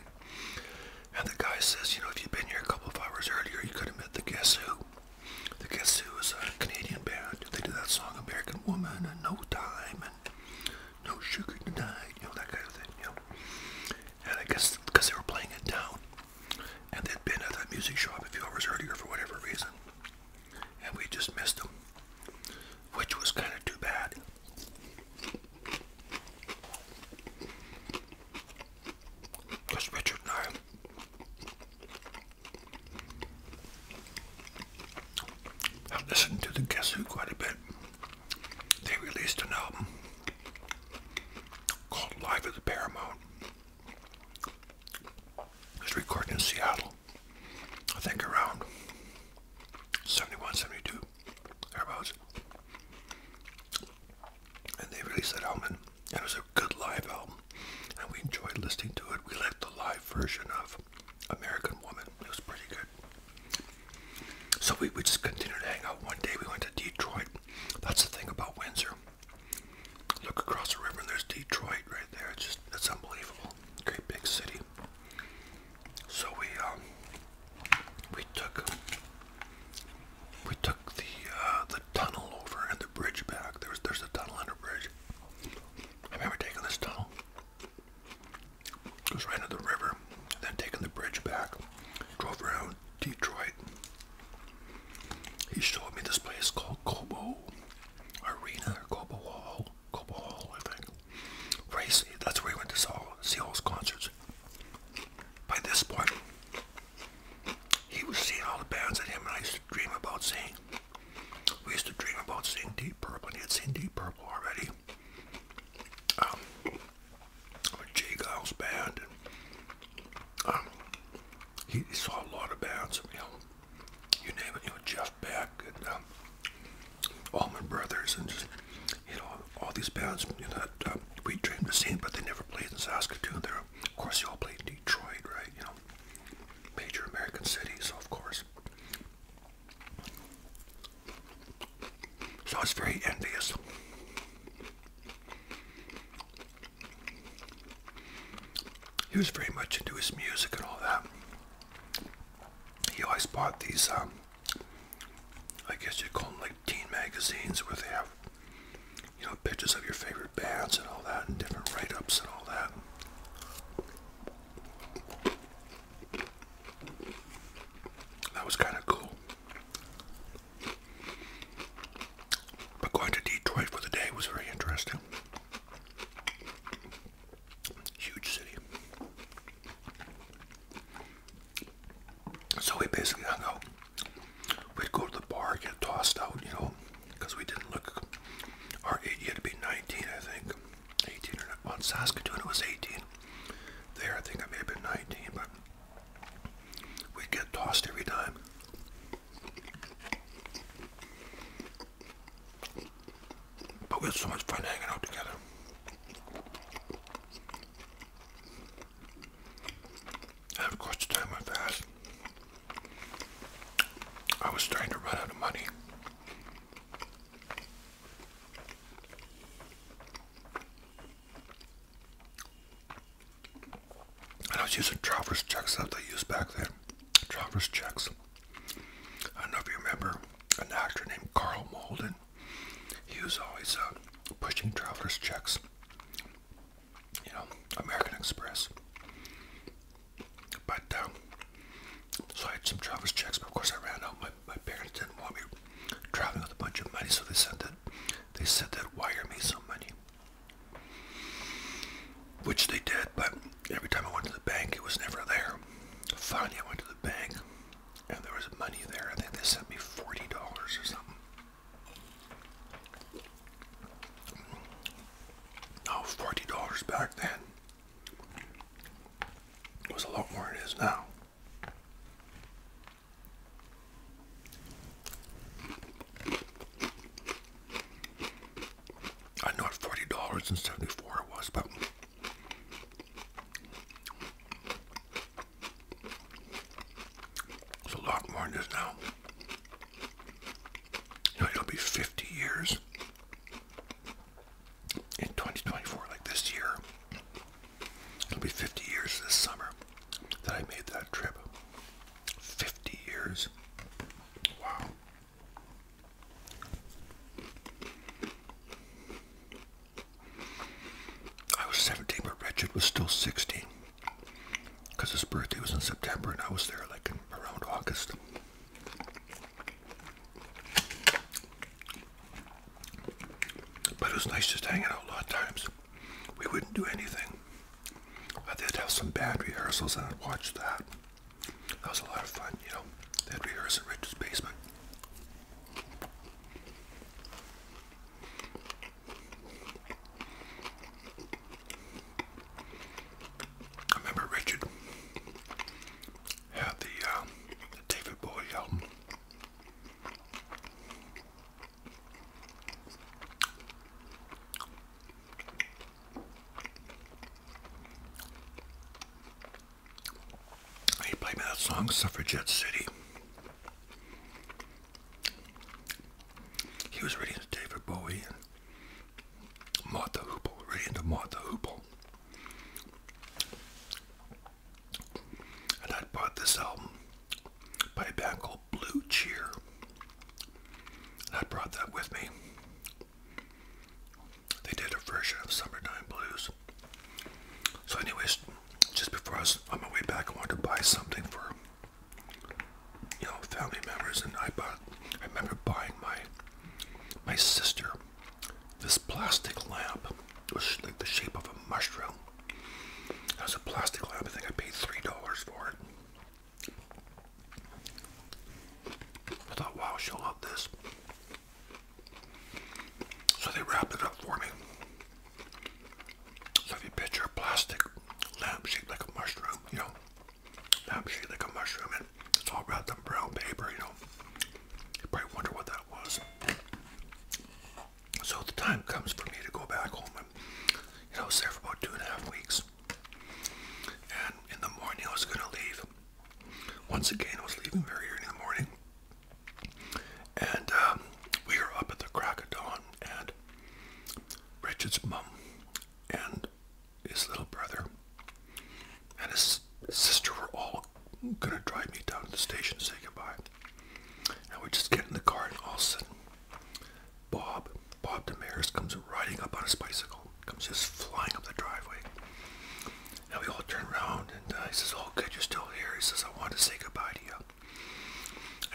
and the guy says, "You know, if you'd been here a couple of hours earlier, you could have met the Guess Who." The Guess Who is a Canadian band. They do that song "American Woman" and "No Time" and "No Sugar Tonight," you know that kind of thing. You know, and I guess because they were playing it down, and they'd been at that music shop a few hours earlier for whatever reason, and we just missed them, which was kind of too bad. Does Richard know? I've listened to the Guess Who quite a bit. They released an album called Live at the Paramount. It's recorded in Seattle. I think around 71, 72, thereabouts. And they released that album, it was a good live album. And we enjoyed listening to it. We liked the live version of American Woman. It was pretty good. So we, we just continued to hang out. One day we went to Detroit. That's the thing about Windsor. Look across the river and there's Detroit right there. It's just, that's unbelievable. Great big city. So we um, we took we took the uh, the tunnel over and the bridge back. There's there's a tunnel and a bridge. I have never taken this tunnel. Goes right into the river, and then taking the bridge back. Drove around Detroit. He showed me this place called Cobo Arena or Cobo Hall. Cobo Hall, I think race. That's where he went to see all his concerts. By this point, he was seeing all the bands that him and I used to dream about seeing. We used to dream about seeing Deep Purple, and he had seen Deep Purple already. Um, Jay Giles band, um, he, saw a lot of bands. you name it. You know, Jeff stuff back and um, Allman Brothers and just you know all these bands you know, that um, we dreamed of seeing, but they never played in Saskatoon. They're of course they all played in Detroit, right? You know, major American cities, of course. So I was very envious. He was very much into his music and all that. He always bought these um, I guess you call them like teen magazines where they have, you know, pictures of your favorite bands and all that and different write ups and all that. That was kind of cool. But going to Detroit for the day was very interesting. Huge city. So we basically hung out. We'd go to the bar, get tossed out, you know, because we didn't look our age. You had to be 19, I think. 18 or not. On Saskatoon, it was 18. There, I think I may have been 19, but we'd get tossed every time. But we had so much fun hanging out together. And of course, the time went fast. I was trying to run out of money. And I was using traveler's checks that they used back then. Traveler's checks. I don't know if you remember an actor named Carl Malden. He was always uh, pushing travelers' checks. You know, American Express. But, uh, so I had some traveler's checks, but of course I ran out. My, my parents didn't want me traveling with a bunch of money, so they sent that, they said that wire me some money. Which they did, but every time I went to the bank, it was never there. Finally, I went to the bank and there was money there. I think they sent me forty dollars or something. Oh, forty dollars back then it was a lot more than it is now. I know at forty dollars and seventy four it was, but it's a lot more than this now. You know, it'll be 50 years in 2024, like this year. It'll be 50 years this summer that I made that trip. 50 years. Wow. I was 17, but Richard was still 16 because his birthday was in September and I was there like around August. But it was nice just hanging out a lot of times. We wouldn't do anything. I did have some band rehearsals and I'd watch that. That was a lot of fun, you know. They had rehearsals in Richard's basement. I remember Richard had the, um, David Bowie album. He played me that song, Suffragette City. He was really into David Bowie and Martha Hoople, really into Martha Hoople. And I bought this album by a band called Blue Cheer. And I brought that with me. They did a version of Summertime Blues. So, anyways, just before I was on my way back, I wanted to buy something for you know family members, and I bought. I remember buying my my sister this plastic lamp. It was like the shape of a mushroom. It was a plastic lamp. I think I paid three dollars for it. I thought, wow, she'll love this. So they wrapped it up for me. So if you picture a plastic lamp shaped like a mushroom, you know, lamp shaped like a mushroom, and it's all wrapped in brown paper, you know. You probably wonder what that was. So the time comes for me to go back home and, you know, I for about two and a half weeks. And in the morning I was gonna leave. Once again I was leaving very early in the morning. And um, we were up at the crack and Richard's mum and his little brother and his sister were all going to drive me down to the station to say goodbye. And we just get in the car, and all of a sudden, Bob, Bob Damaris comes riding up on his bicycle, comes just flying up the driveway. And we all turned around and uh, he says, oh good, you're still here. He says, I wanted to say goodbye to you.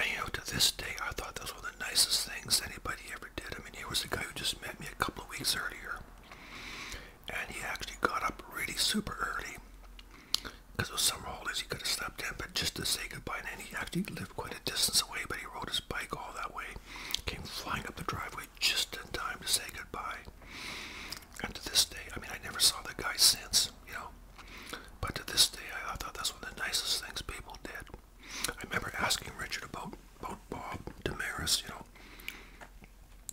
And you know, to this day, I thought that was one of the nicest things anybody ever did. I mean, here was a guy who just met me a couple of weeks earlier. And he actually got up really super early. Because it was summer holidays, he could have slept in, but just to say goodbye. And he actually lived quite a distance away, but he rode his bike all that way. Came flying up the driveway just in time to say goodbye. And to this day, I mean, I never saw the guy since, you know. But to this day, I, I thought that's one of the nicest things people did. I remember asking Richard about, about Bob Damaris, you know.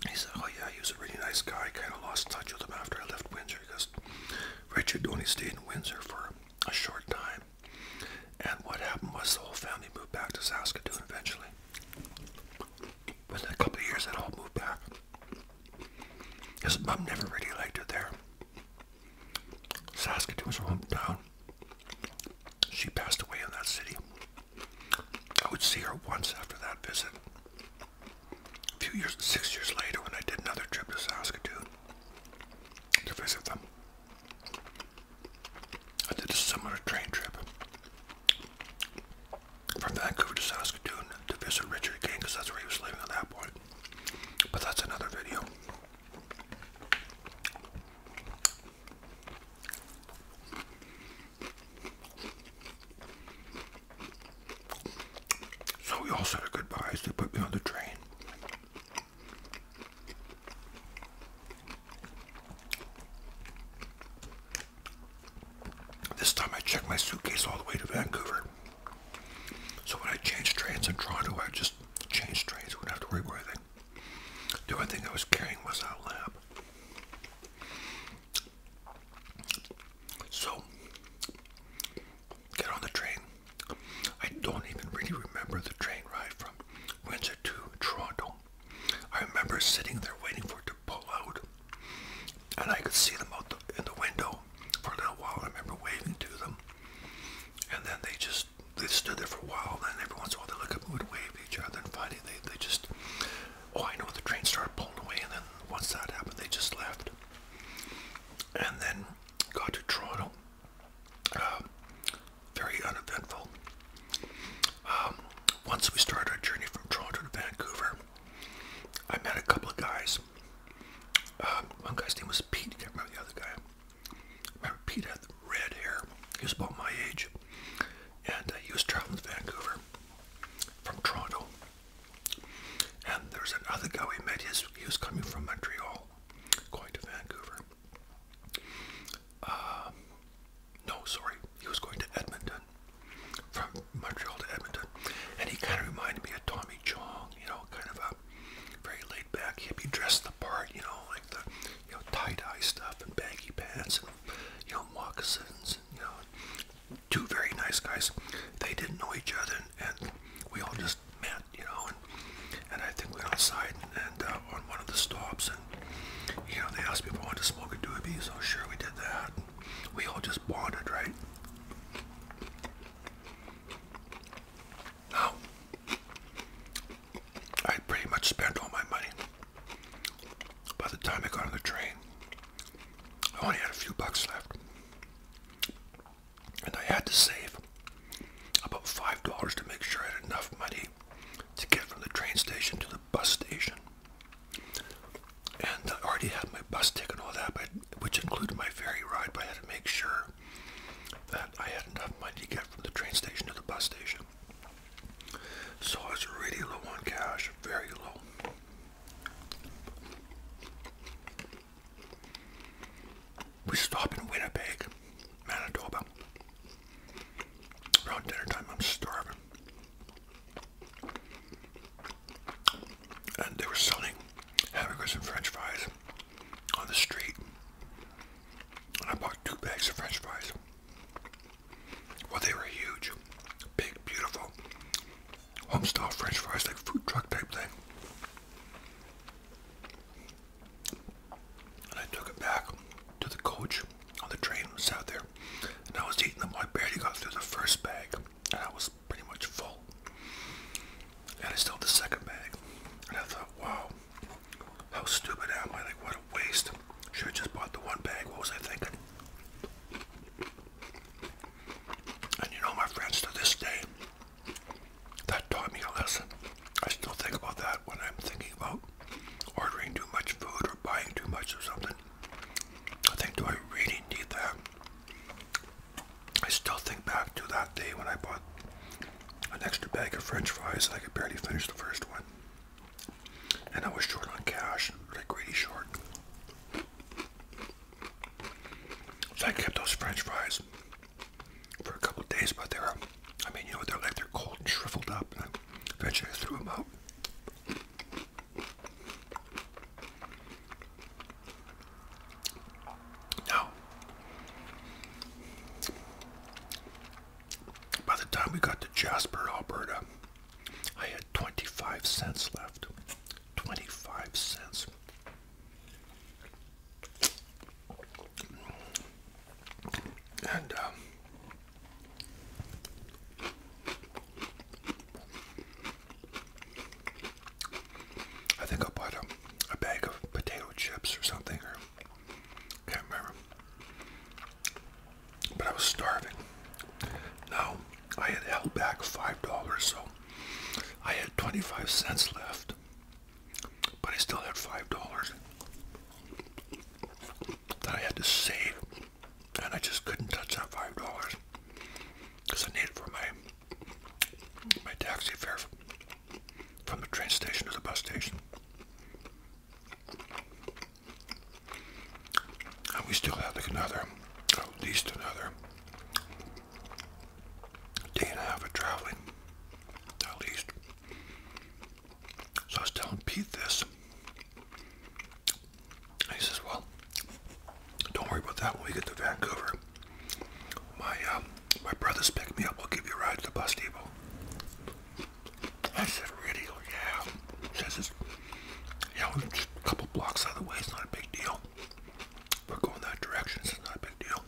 He said, oh yeah, he was a really nice guy. I kind of lost touch with him after I left Windsor because Richard only stayed in Windsor for a short time. And what happened was the whole family moved back to Saskatoon eventually within a couple of years, they all move back. His mom never really liked her there. Saskatoon was her hometown. She passed away in that city. I would see her once after that visit. A few years, six years later, when I did another trip to Saskatoon to visit them, I did a similar train trip from Vancouver to Saskatoon to visit Richard King that's where he was living at that point. But that's another video. So we all said our goodbyes. They put me on the train. This time I checked my suitcase all the way to Vancouver. So when I change trains in Toronto, I just change trains. Wouldn't have to worry about anything. Do only thing I was carrying was out loud? So, get on the train. I don't even really remember the train ride from Windsor to Toronto. I remember sitting there waiting for it to pull out, and I could see them out the, in the window for a little while. I remember waving to them, and then they just they stood there for a while. Then every once in a while they look up and would wave at each other, and finally they they just oh I know the train started pulling away, and then once that happened they just left, and then got to Toronto. Um, very uneventful. Um, once we started our journey from Toronto to Vancouver, I met a couple of guys. Um, one guy's name was Pete. I can't remember the other guy. remember Pete had red hair. He was about my age. And uh, he was traveling to Vancouver from Toronto. And there's another guy we met. His, he was coming from Montreal, going to Vancouver. Um, no, sorry, he was going to Edmonton, from Montreal to Edmonton, and he kind of reminded me of Tommy Chong, you know, kind of a very laid-back hippie, dressed the part, you know, like the you know tie-dye stuff and baggy pants and you know moccasins, and, you know, two very nice guys. They didn't know each other, and, and we all just met, you know, and and I think we went outside and, and uh, on one of the stops and. You know, they asked me if I wanted to smoke a doobie, so sure we did that we all just bonded, right? Now, I pretty much spent all my money. By the time I got on the train, I only had a few bucks left. And I had to save about $5 to make sure I had enough money to get from the train station to the bus station. And I already had my bus ticket and all that, but which included my ferry ride, but I had to make sure that I had enough money to get from the train station to the bus station. So I was really low on cash, very low. We stop in Winnipeg, Manitoba. Around dinner time, I'm starving and they were selling hamburgers and french fries on the street. And I bought two bags of french fries. Well, they were huge, big, beautiful, home-style french fries, like food truck type thing. And I took it back to the coach on the train when there, and I was eating them. I barely got through the first bag, and I was pretty much full. And I still had the second bag, and I thought, wow, how stupid am I? Like, what a waste. Should have just bought the one bag. What was I thinking? And you know, my friends, to this day, that taught me a lesson. I still think about that when I'm thinking about ordering too much food or buying too much or something. I think, do I really need that? I still think back to that day when I bought an extra bag of french fries and I could barely finish the first one. And I was short on cash, like really short. So I kept those french fries for a couple days, but they are I mean, you know, what they're like they're cold and shriveled up. And I eventually threw them out. Now, by the time we got to Jasper, Alberta, I had 25 cents left. 25 cents. And um, I think I bought a, bag of potato chips or something, or can't remember. But I was starving. Now, I had held back $5, so I had 25 cents left, but I still had $5 that I had to save and I just couldn't touch that five dollars because I need it for my my taxi fare from the train station to the bus station. And we still have like another, at least another day and a half of traveling, at So I was telling Pete this he says, well, don't worry about that. When we get to Vancouver, my um, my brothers pick me up. We'll give you a ride to the bus depot. I said, really? Oh, yeah. He says, yeah, we're just a couple blocks out of the way. It's not a big deal. We're going that direction. It's not a big deal.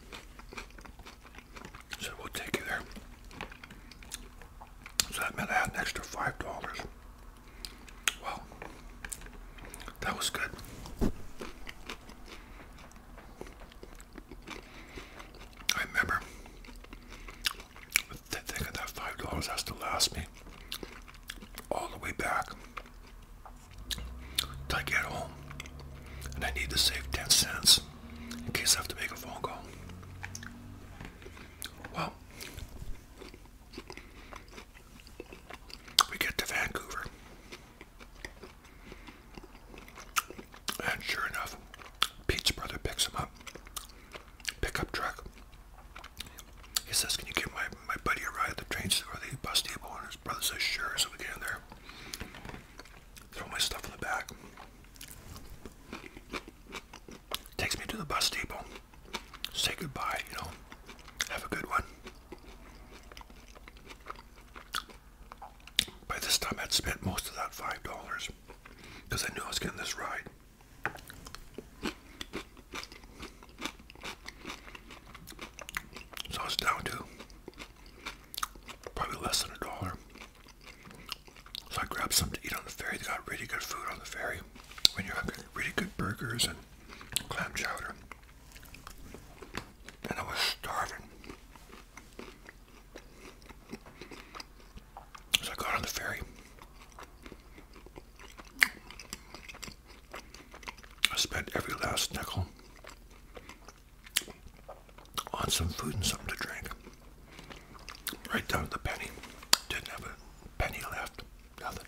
So we'll take you there. So that meant I had an extra $5 well, that was good. I remember thinking that five dollars has to last me all the way back till I get home, and I need to save ten cents in case I have to make a phone call. Well, we get to Vancouver. And sure enough, Pete's brother picks him up. Pickup truck. He says, Can you give my, my buddy a ride at the train or the bus depot? And his brother says, Sure. So we get in there. Throw my stuff in the back takes me to the bus depot. Say goodbye, you know. Have a good one. By this time, I'd spent most of that $5 because I knew I was getting this ride. So I was down to probably less than a dollar. So I grabbed something to eat on the ferry. They got really good food on the ferry when you have really good burgers and clam chowder. And I was starving. So I got on the ferry. I spent every last nickel on some food and something to drink. Right down to the penny. Didn't have a penny left. Nothing.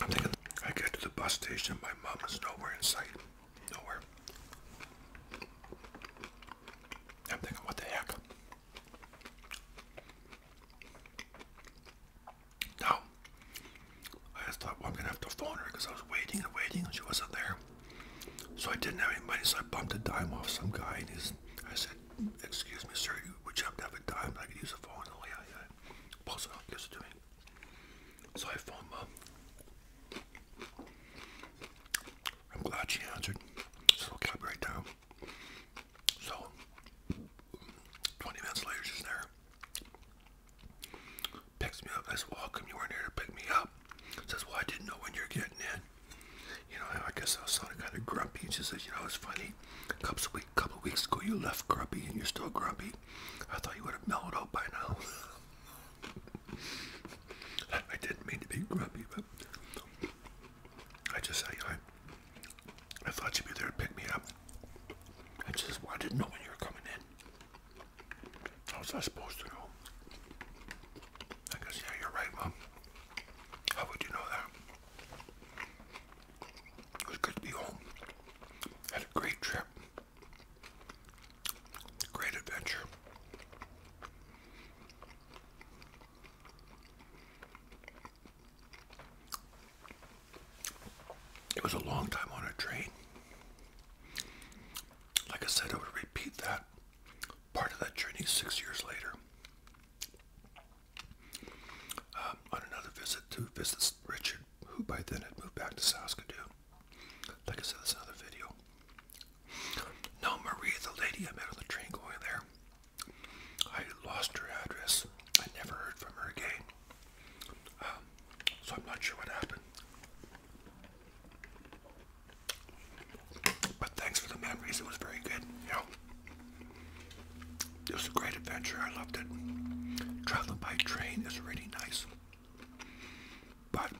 I'm thinking I get to the bus station, my mom is nowhere in sight. Nowhere. I'm thinking, what the heck? Now, I thought, I'm going to have to phone her because I was waiting and waiting and she wasn't there. So I didn't have any money, so I bumped a dime off some guy, and he's, I said, "Excuse me, sir, would you happen to have a dime? I could use a phone." Oh yeah, yeah. Pulls it out, gives it to me. So I phoned mom. I'm glad she answered. So will copy right So 20 minutes later, she's there. Picks me up. I said, well, you weren't here to pick me up? Says, well, I didn't know when you're getting in. You know, I guess I was sounding kind of grumpy. And she says, you know, it's funny. A couple of, week, couple of weeks ago, you left grumpy and you're still grumpy. I thought you would have mellowed out by now. I didn't mean to be grumpy, but I just, I, I, I thought you'd be there to pick me up. I just, well, I didn't know when you were coming in. How was I supposed to know? I guess, yeah, you're right, Mom. How would you know that? It was good to be home. Had a great trip. Great adventure. It was a long time on a train. Like I said, I would repeat that part of that journey six years later um, on another visit to visit Richard, who by then had moved back to Saskatoon. Like I said, that's another video. Now, Maria, the lady I met on the train going there, I lost her address. I never heard from her again. Um, so I'm not sure what happened. But thanks for the memories. It was very good. You know, it was a great adventure. I loved it. Traveling by train is really nice. But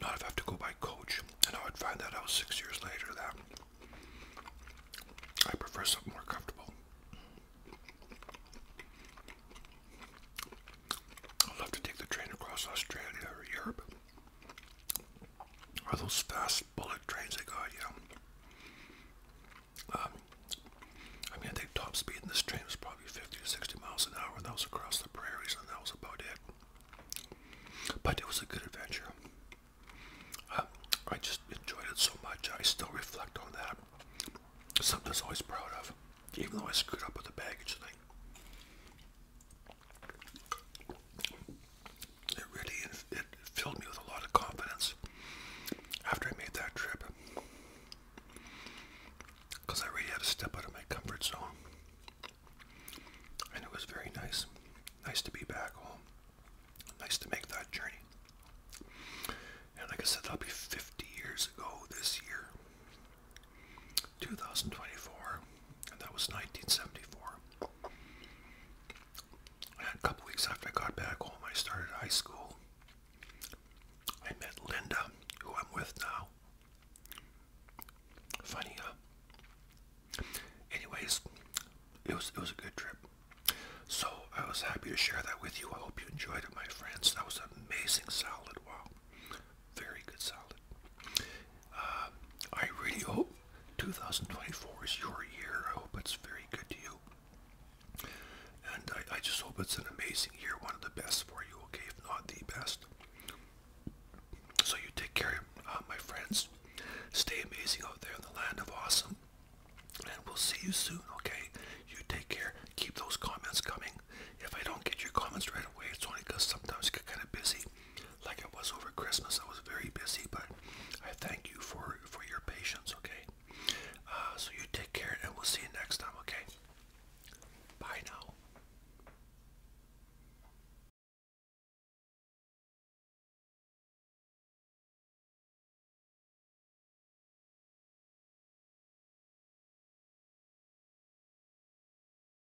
not I have to go by coach. And I would find out six years later that I prefer something more comfortable. I love to take the train across Australia or Europe. Or those fast bullet trains they got, yeah. Um, I mean, I think top speed and this train was probably 50 to 60 miles an hour, and that was across the prairies, and that was about it. But it was a good adventure. Um, I just enjoyed it so much. I still reflect on that. Something I am always proud of, even though I screwed up with the baggage thing. It really it filled me with a lot of confidence after I made that trip because I really had to step out of my comfort zone. And it was very nice. Nice to be back home. Nice to make that journey. And like I said, that'll be 50 years ago this year. 2024, and that was 1974. a couple weeks after I got back home, I started high school. I met Linda, who I'm with now. Funny, Anyways, it was it was a good trip. So I was happy to share that with you. I hope you enjoyed it, my friends. That was an amazing salad. Wow very good solid. Uh, I really hope 2024 is your year. I hope it's very good to you. And I, just hope it's an amazing year, one of the best for you, okay, if not the best. So you take care, uh, my friends. Stay amazing out there in the land of awesome. And we'll see you soon, okay? You take care. Keep those comments coming. If I don't get your comments right away, it's only because sometimes I get kind of busy like it was over Christmas. I was very busy, but I thank you for, for your patience, okay? Uh, so you take care, and we'll see you next time, okay? Bye now.